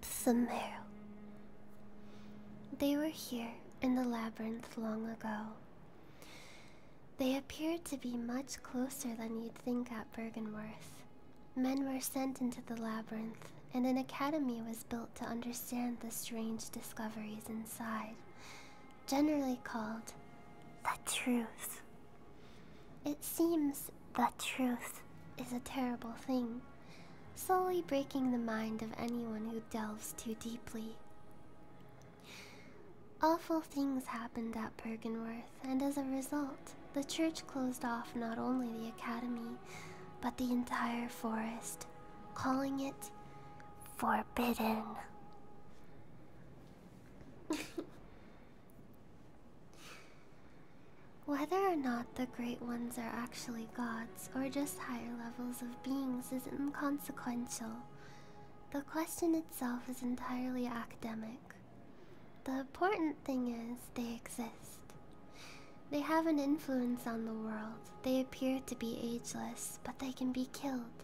Sumeru. They were here in the labyrinth long ago. They appeared to be much closer than you'd think at Bergenworth, Men were sent into the labyrinth, and an academy was built to understand the strange discoveries inside, generally called the truth. It seems the truth is a terrible thing, slowly breaking the mind of anyone who delves too deeply. Awful things happened at Perganworth and as a result, the church closed off not only the academy, but the entire forest, calling it Forbidden. Whether or not the Great Ones are actually gods or just higher levels of beings is inconsequential. The question itself is entirely academic the important thing is they exist. They have an influence on the world. They appear to be ageless, but they can be killed.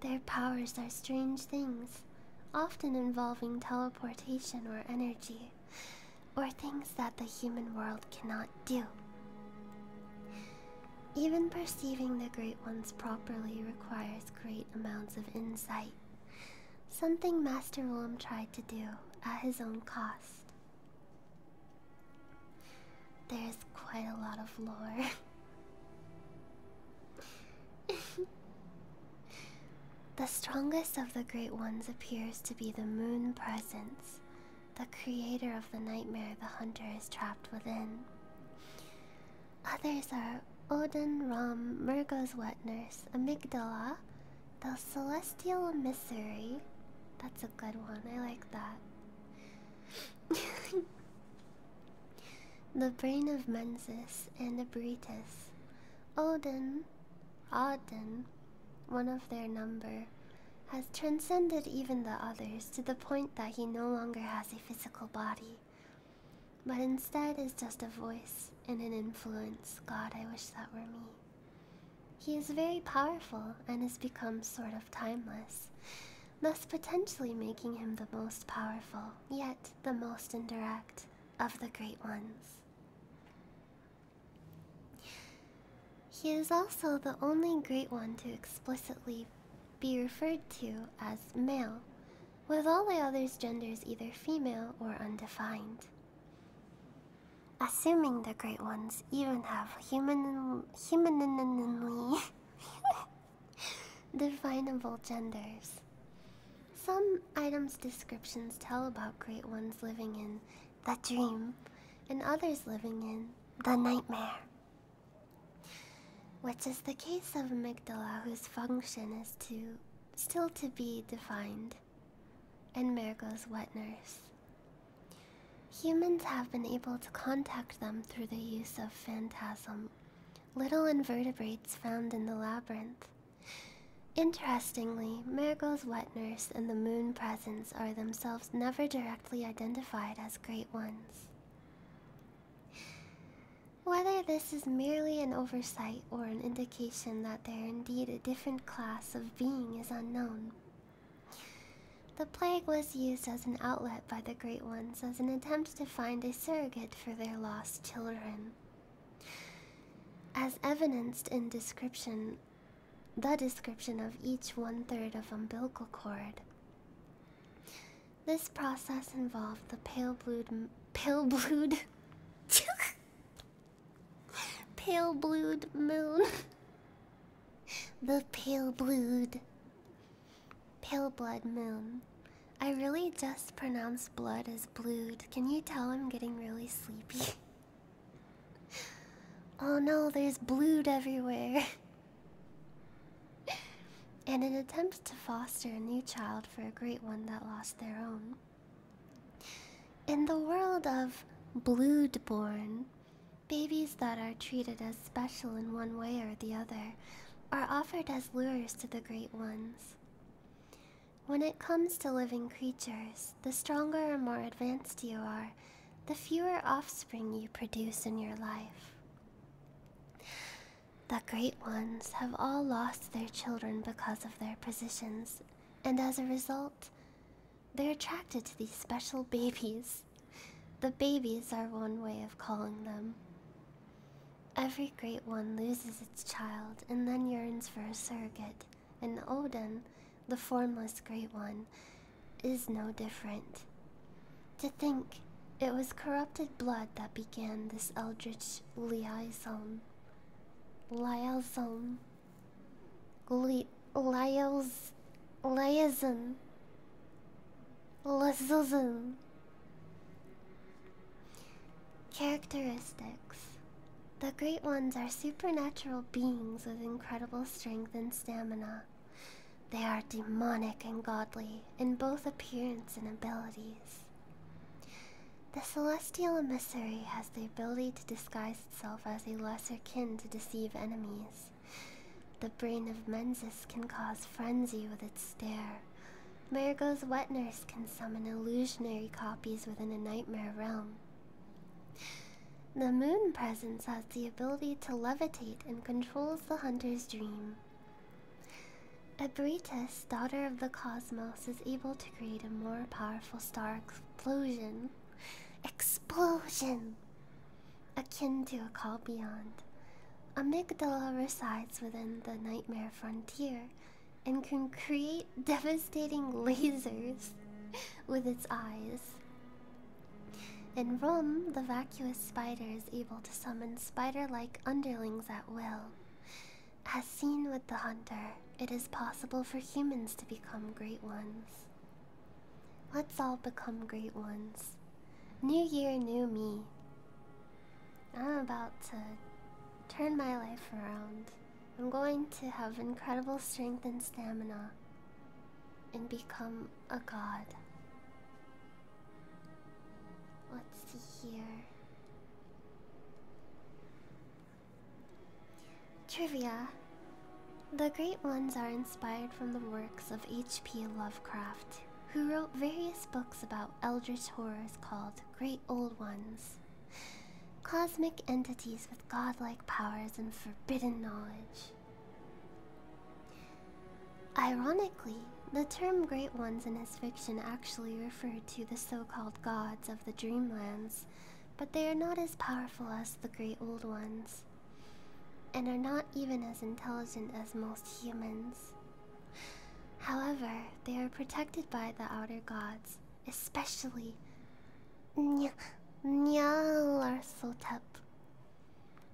Their powers are strange things, often involving teleportation or energy, or things that the human world cannot do. Even perceiving the Great Ones properly requires great amounts of insight. Something Master William tried to do at his own cost. There's quite a lot of lore. the strongest of the Great Ones appears to be the Moon Presence, the creator of the nightmare the hunter is trapped within. Others are Odin, Rom, Mergo's wet nurse, Amygdala, the Celestial Emissary. That's a good one. I like that. the Brain of Mensis and the Britus, Odin, Odin, one of their number, has transcended even the others to the point that he no longer has a physical body, but instead is just a voice voice and an influence. God, I wish that were me. He is very powerful and has become sort of timeless, thus potentially making him the most powerful, yet the most indirect, of the great ones. He is also the only great one to explicitly be referred to as male, with all the others' genders either female or undefined. Assuming the great ones even have human humanly definable genders. Some items' descriptions tell about great ones living in the dream and others living in the nightmare. Which is the case of amygdala, whose function is to still to be defined and Marigold's wet nurse. Humans have been able to contact them through the use of phantasm, little invertebrates found in the labyrinth. Interestingly, Marigold's wet nurse and the moon presence are themselves never directly identified as great ones. Whether this is merely an oversight or an indication that there indeed a different class of being is unknown. The plague was used as an outlet by the Great Ones as an attempt to find a surrogate for their lost children. As evidenced in description, the description of each one third of umbilical cord. This process involved the pale blued, pale blued, Pale blued moon. the pale blued. Pale blood moon. I really just pronounce blood as blued. Can you tell I'm getting really sleepy? oh no, there's blued everywhere. and an attempt to foster a new child for a great one that lost their own. In the world of bloodborne, babies that are treated as special in one way or the other are offered as lures to the great ones. When it comes to living creatures, the stronger or more advanced you are, the fewer offspring you produce in your life. The great ones have all lost their children because of their positions and as a result, they're attracted to these special babies. The babies are one way of calling them. Every great one loses its child and then yearns for a surrogate, and Odin, the formless great one, is no different. To think it was corrupted blood that began this eldritch liaison. Liaison. Li lials liaison liaison Characteristics The Great Ones are supernatural beings with incredible strength and stamina. They are demonic and godly in both appearance and abilities. The celestial emissary has the ability to disguise itself as a lesser kin to deceive enemies. The brain of Menzis can cause frenzy with its stare. Marigo's wet nurse can summon illusionary copies within a nightmare realm. The moon presence has the ability to levitate and controls the hunter's dream. Abritus, daughter of the cosmos, is able to create a more powerful star explosion. Explosion! Akin to a call beyond. Amygdala resides within the nightmare frontier and can create devastating lasers with its eyes. In Rome, the vacuous spider is able to summon spider like underlings at will. As seen with the hunter, it is possible for humans to become great ones. Let's all become great ones. New year, new me. I'm about to turn my life around. I'm going to have incredible strength and stamina and become a god. Let's see here. Trivia The Great Ones are inspired from the works of H.P. Lovecraft, who wrote various books about eldritch horrors called Great Old Ones. Cosmic entities with godlike powers and forbidden knowledge. Ironically, the term Great Ones in his fiction actually referred to the so called gods of the Dreamlands, but they are not as powerful as the great old ones, and are not even as intelligent as most humans. However, they are protected by the outer gods, especially Nyarlathotep.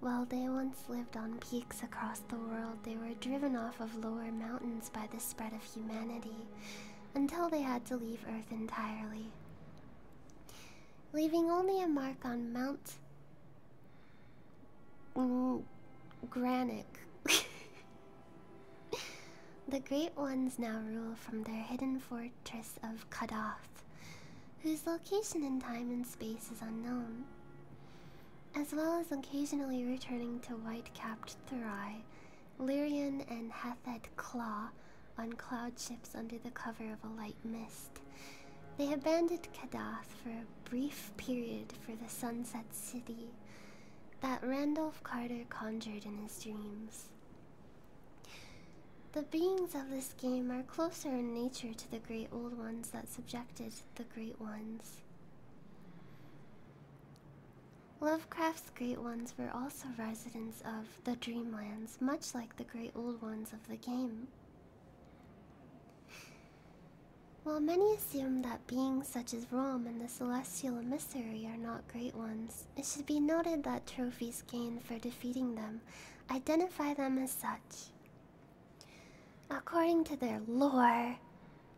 While they once lived on peaks across the world, they were driven off of lower mountains by the spread of humanity until they had to leave Earth entirely, leaving only a mark on Mount mm, the Great Ones now rule from their hidden fortress of Kadoth, whose location in time and space is unknown. As well as occasionally returning to white capped Thurai Lyrian and Hethad claw on cloud ships under the cover of a light mist. They abandoned Kadath for a brief period for the Sunset City that Randolph Carter conjured in his dreams. The beings of this game are closer in nature to the great old ones that subjected the great ones. Lovecraft's great ones were also residents of the Dreamlands, much like the great old ones of the game. While many assume that beings such as Rom and the Celestial Emissary are not great ones, it should be noted that trophies gained for defeating them identify them as such. According to their lore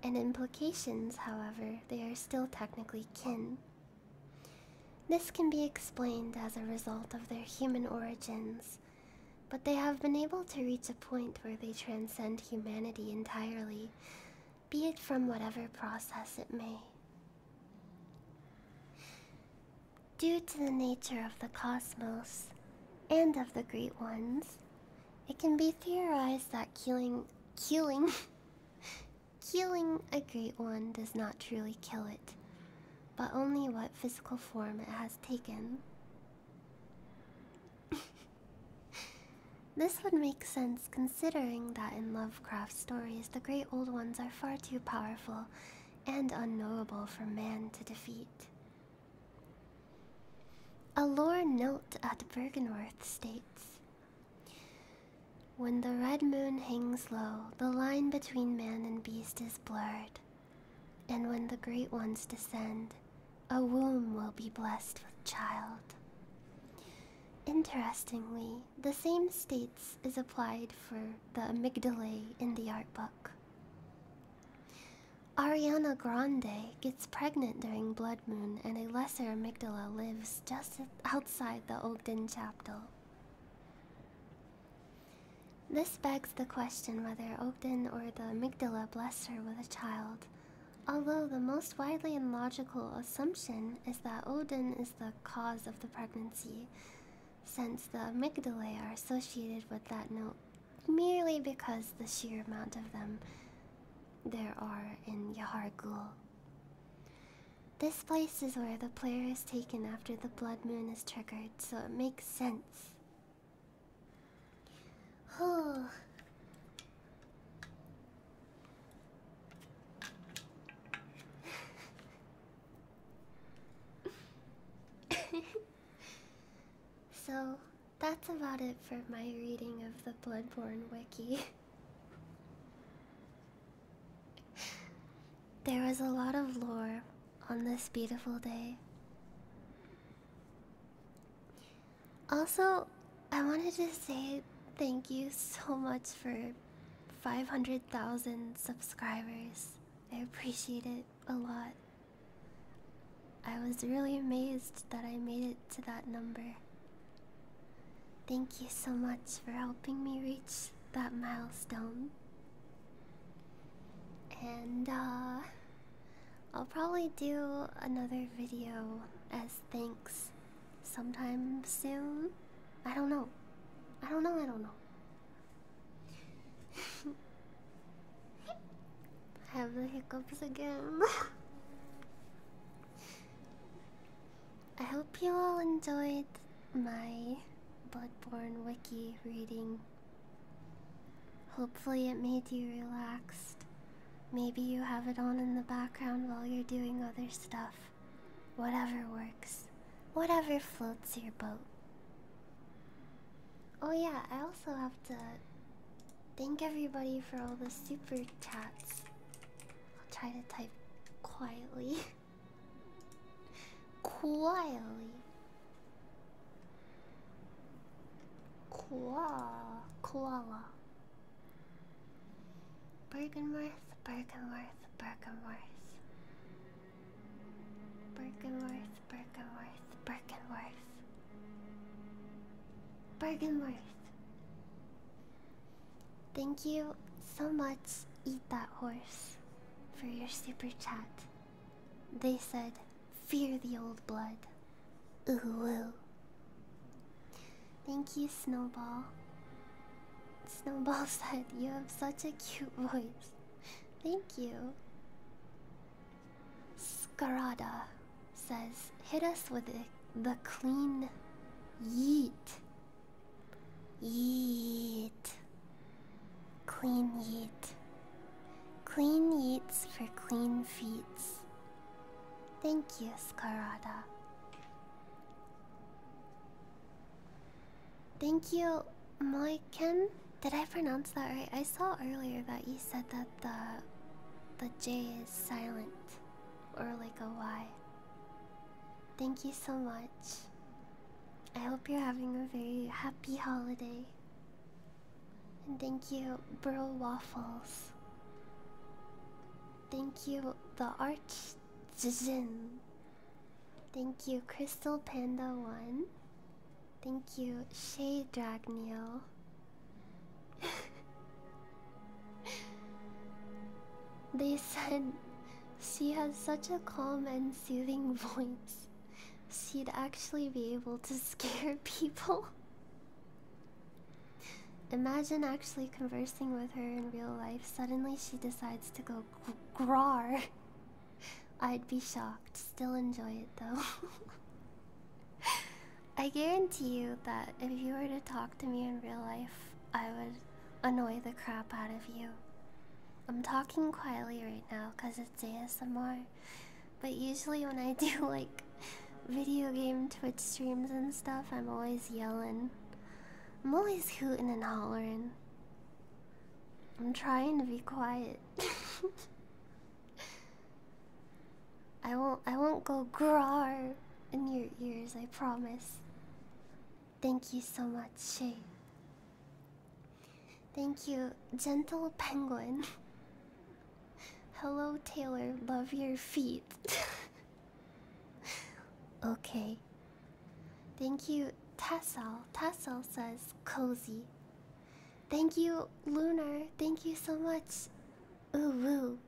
and implications, however, they are still technically kin. This can be explained as a result of their human origins, but they have been able to reach a point where they transcend humanity entirely, be it from whatever process it may. Due to the nature of the cosmos and of the Great Ones, it can be theorized that killing, Killing a great one does not truly kill it, but only what physical form it has taken. this would make sense considering that in Lovecraft stories, the great old ones are far too powerful and unknowable for man to defeat. A lore note at Bergenworth states when the red moon hangs low, the line between man and beast is blurred. And when the great ones descend, a womb will be blessed with child. Interestingly, the same states is applied for the amygdala in the art book. Ariana Grande gets pregnant during blood moon and a lesser amygdala lives just outside the Ogden chapel. This begs the question whether Odin or the amygdala blessed her with a child, although the most widely and logical assumption is that Odin is the cause of the pregnancy, since the amygdalae are associated with that note merely because the sheer amount of them there are in Yahar Ghul. This place is where the player is taken after the blood moon is triggered, so it makes sense. Oh. so, that's about it for my reading of the Bloodborne Wiki. There was a lot of lore on this beautiful day. Also, I wanted to say thank you so much for 500,000 subscribers. I appreciate it a lot. I was really amazed that I made it to that number. Thank you so much for helping me reach that milestone. And uh, I'll probably do another video as thanks sometime soon. I don't know. I don't know, I don't know. I have the hiccups again. I hope you all enjoyed my Bloodborne Wiki reading. Hopefully, it made you relaxed. Maybe you have it on in the background while you're doing other stuff. Whatever works. Whatever floats your boat. Oh, yeah, I also have to thank everybody for all the super chats. I'll try to type quietly. Quietly. Koala. Koala. Bergenworth, Bergenworth, Bergenworth. Bergenworth, Bergenworth, Bergenworth. Bergenworth. Thank you so much, Eat That Horse, for your super chat. They said, Fear the old blood. Ooh, ooh. Thank you, Snowball. Snowball said, You have such a cute voice. Thank you. Scarada says, Hit us with the, the clean yeet. Yeet. Clean yeet. Clean yeets for clean feet. Thank you, Skarada. Thank you, Moiken. Did I pronounce that right? I saw earlier that you said that the the J is silent or like a Y. Thank you so much. I hope you're having a very happy holiday. And thank you, Burl Waffles. Thank you, The Arch Jin. Thank you, Crystal Panda 1. Thank you, Shay Dragneo. they said she has such a calm and soothing voice. She'd actually be able to scare people. Imagine actually conversing with her in real life. Suddenly she decides to go gr grar. I'd be shocked. Still enjoy it though. I guarantee you that if you were to talk to me in real life, I would annoy the crap out of you. I'm talking quietly right now because it's ASMR, but usually when I do like video game Twitch streams and stuff, I'm always yelling. I'm always hooting and hollering. I'm trying to be quiet. I won't I won't go grar in your ears, I promise. Thank you so much, Shay. Thank you, Gentle Penguin. Hello, Taylor. Love your feet. okay. Thank you, Tassel. Tassel says cozy. Thank you, Lunar. Thank you so much. Ooh woo.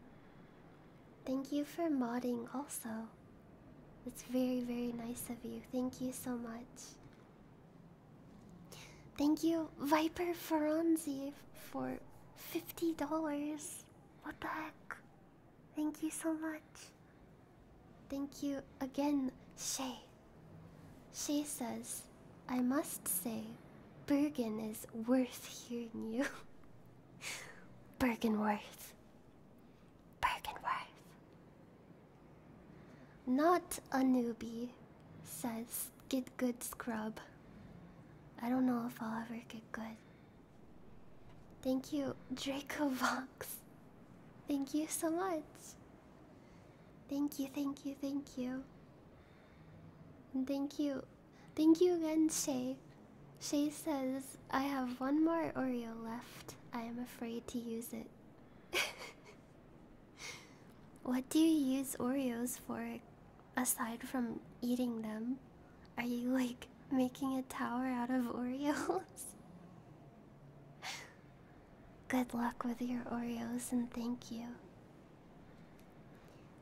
Thank you for modding also. That's very, very nice of you. Thank you so much. Thank you, Viper Ferranzi, for $50. What the heck? Thank you so much. Thank you again, Shay. Shay says, I must say, Bergen is worth hearing you. Bergen worth. Birkenworth. Not a newbie, says Get Good Scrub. I don't know if I'll ever get good. Thank you, Draco Vox. Thank you so much. Thank you, thank you, thank you. thank you. Thank you again, Shay. Shay says, I have one more Oreo left. I am afraid to use it. what do you use Oreos for aside from eating them? Are you like making a tower out of Oreos? Good luck with your Oreos and thank you.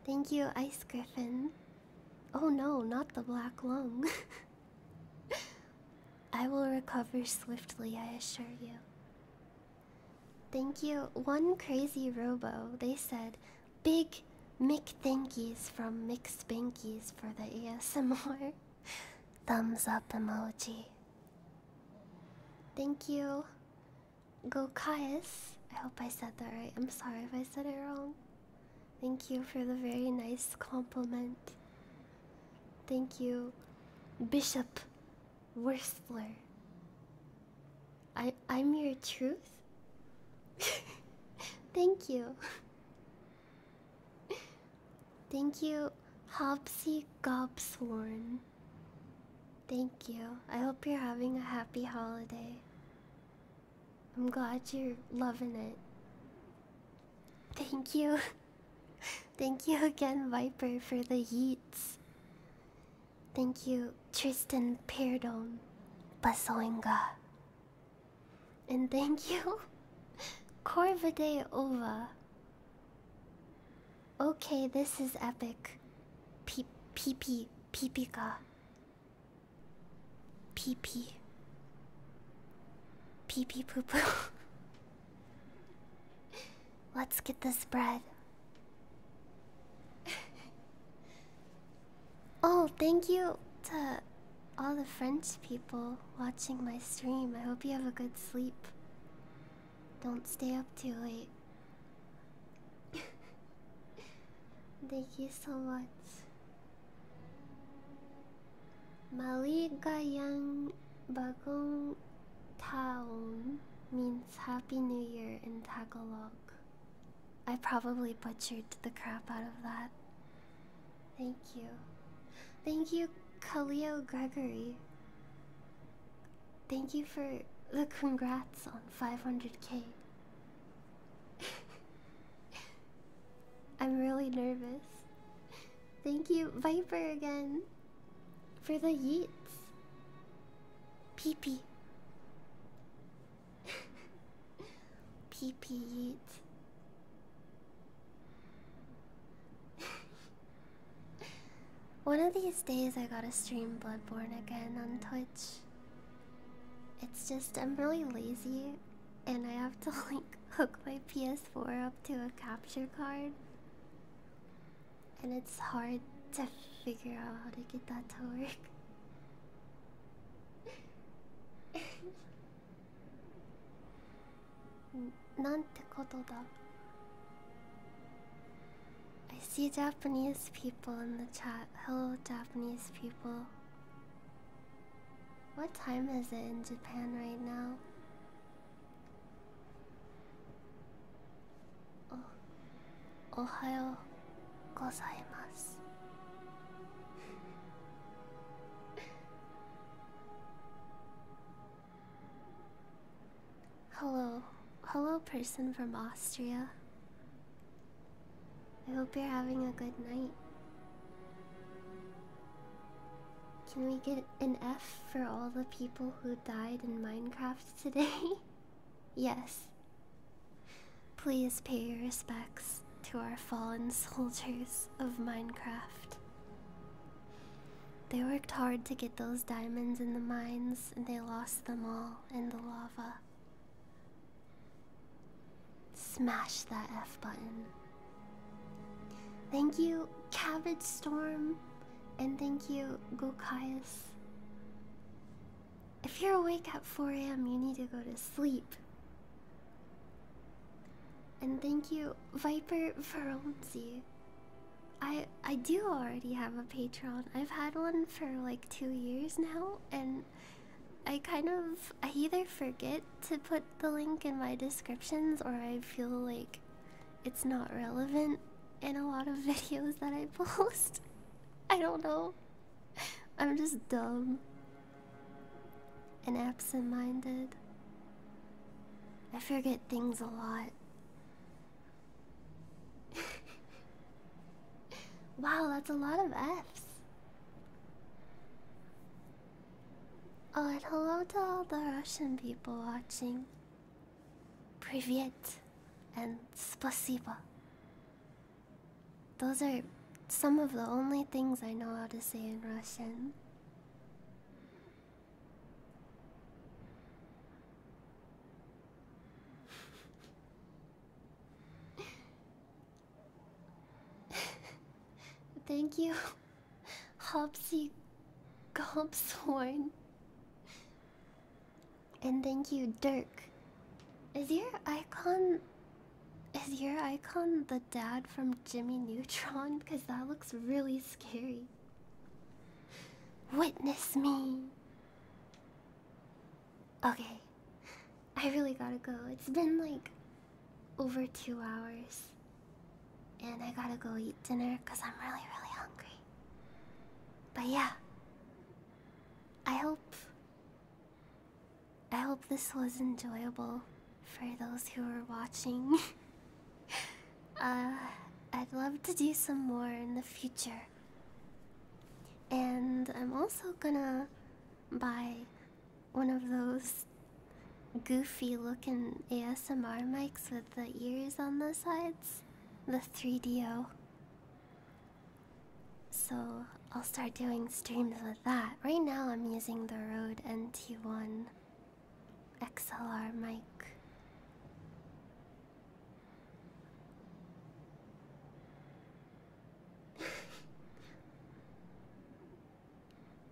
Thank you, Ice Griffin. Oh no, not the black lung. I will recover swiftly, I assure you. Thank you. One crazy robo, they said, big Mick thankies from Mick Spankies for the ASMR. Thumbs up emoji. Thank you, Go, Gokias. I hope I said that right. I'm sorry if I said it wrong. Thank you for the very nice compliment. Thank you, Bishop Wurstler. I I'm your truth. Thank you. Thank you, Hopsy Gobsworn. Thank you. I hope you're having a happy holiday. I'm glad you're loving it. Thank you. Thank you again, Viper, for the heats. Thank you, Tristan Perdon Basoinga. And thank you, Corvade Ova. Okay, this is epic. Peep, peepee, peepika. Peepee. Pee pee poo poo. Let's get this bread. oh, thank you to all the French people watching my stream. I hope you have a good sleep. Don't stay up too late. Thank you so much. Maligayang Bagong Taon means Happy New Year in Tagalog. I probably butchered the crap out of that. Thank you. Thank you, Kaleo Gregory. Thank you for the congrats on 500k. I'm really nervous. Thank you, Viper, again for the yeets. Pee pee. pee pee yeet. One of these days, I gotta stream Bloodborne again on Twitch. It's just, I'm really lazy and I have to like hook my PS4 up to a capture card. And it's hard to figure out how to get that to work. なんてことだ I see Japanese people in the chat. Hello, Japanese people. What time is it in Japan right now? Oh, Ohio gozaimasu. Hello. Hello, person from Austria. I hope you're having a good night. Can we get an F for all the people who died in Minecraft today? yes. Please pay your respects to our fallen soldiers of Minecraft. They worked hard to get those diamonds in the mines, and they lost them all in the lava. Smash that F button. Thank you, Cabbage Storm, and thank you, Gokaius. If you're awake at 4 a.m., you need to go to sleep. And thank you, Viper Veronzi. I I do already have a Patreon. I've had one for like two years now, and I kind of I either forget to put the link in my descriptions, or I feel like it's not relevant in a lot of videos that I post. I don't know. I'm just dumb and absent minded. I forget things a lot. wow, that's a lot of F's. Oh, and hello to all the Russian people watching. Privyet and Spasiba. Those are some of the only things I know how to say in Russian. Thank you. Hopsy Gobshorn. And thank you, Dirk. Is your icon is your icon the dad from Jimmy Neutron? Because that looks really scary. Witness me. Okay. I really gotta go. It's been like over two hours. And I gotta go eat dinner because I'm really, really hungry. But yeah. I hope. I hope this was enjoyable for those who were watching. Uh, I'd love to do some more in the future. And I'm also gonna buy one of those goofy looking ASMR mics with the ears on the sides. The 3DO. So I'll start doing streams with that. Right now I'm using the Rode NT1 XLR mic.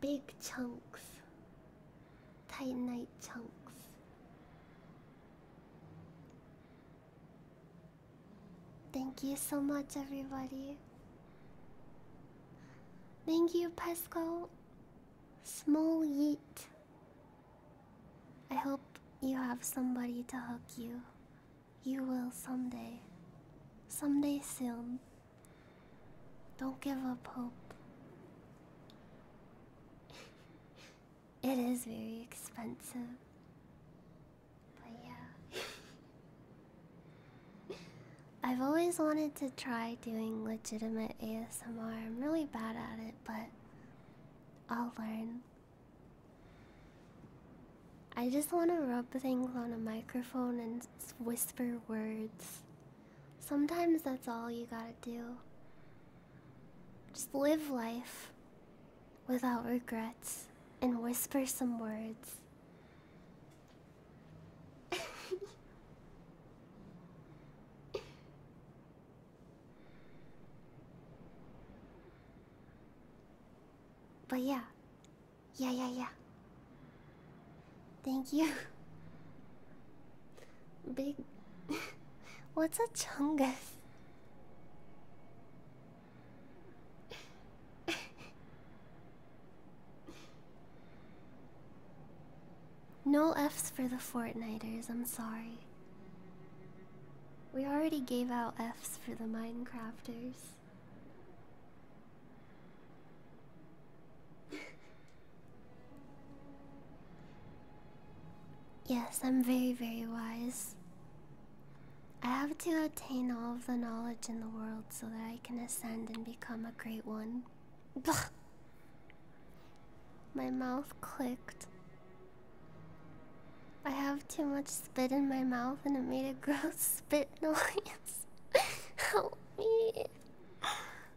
big chunks, tight knit chunks. Thank you so much, everybody. Thank you, Pesco. Small Yeet. I hope you have somebody to hug you. You will someday. Someday soon. Don't give up hope. it is very expensive. But yeah. I've always wanted to try doing legitimate ASMR. I'm really bad at it, but I'll learn. I just want to rub things on a microphone and whisper words. Sometimes that's all you gotta do. Just live life without regrets and whisper some words. but yeah. Yeah, yeah, yeah. Thank you. Big. What's a chungus? no F's for the Fortniters, I'm sorry. We already gave out F's for the Minecrafters yes, I'm very, very wise. I have to attain all of the knowledge in the world so that I can ascend and become a great one. my mouth clicked. I have too much spit in my mouth and it made a gross spit noise. Help me.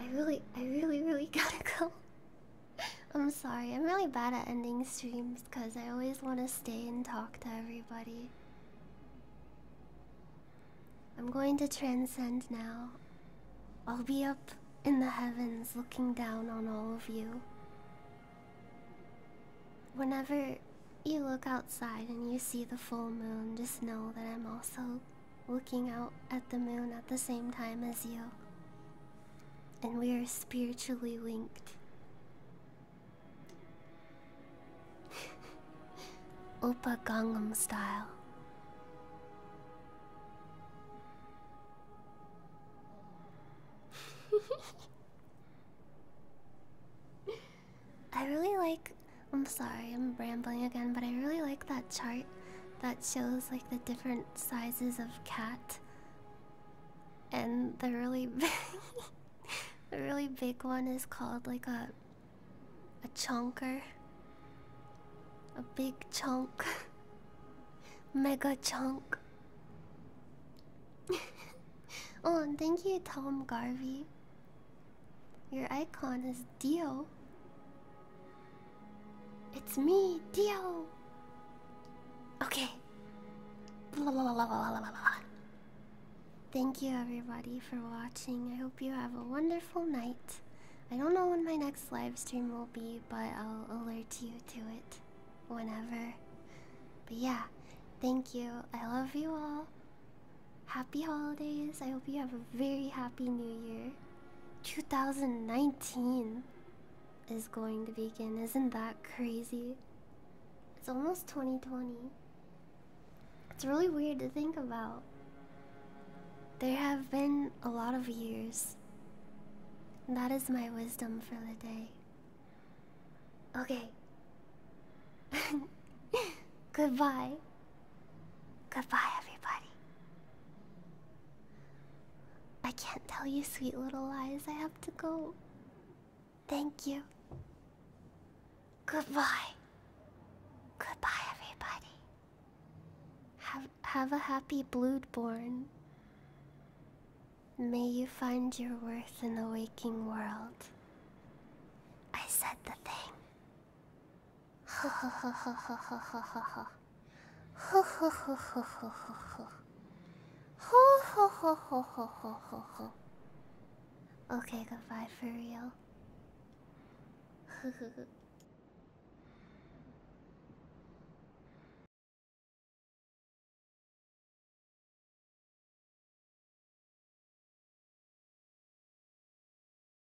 I really, I really, really gotta go. I'm sorry, I'm really bad at ending streams because I always want to stay and talk to everybody. I'm going to transcend now. I'll be up in the heavens looking down on all of you. Whenever you look outside and you see the full moon, just know that I'm also looking out at the moon at the same time as you. And we are spiritually linked. Opa Gangnam style. I really like I'm sorry, I'm rambling again, but I really like that chart that shows like the different sizes of cat. And the really big the really big one is called like a a chunker. A big chunk. Mega chunk. oh, and thank you, Tom Garvey. Your icon is is Dio. It's me, Dio. Okay. Blah, blah, blah, blah, blah, blah. Thank you everybody for watching. I hope you have a wonderful night. I don't know when my next live stream will be, but I'll alert you to it whenever. But yeah, thank you. I love you all. Happy holidays. I hope you have a very happy new year. 2019 is going to begin. Isn't that crazy? It's almost 2020. It's really weird to think about. There have been a lot of years. That is my wisdom for the day. Okay. Goodbye. Goodbye, everybody. I can't tell you sweet little lies. I have to go. Thank you. Goodbye. Goodbye, everybody. Have have a happy bloodborn. May you find your worth in the waking world. I said the thing. okay, goodbye for real.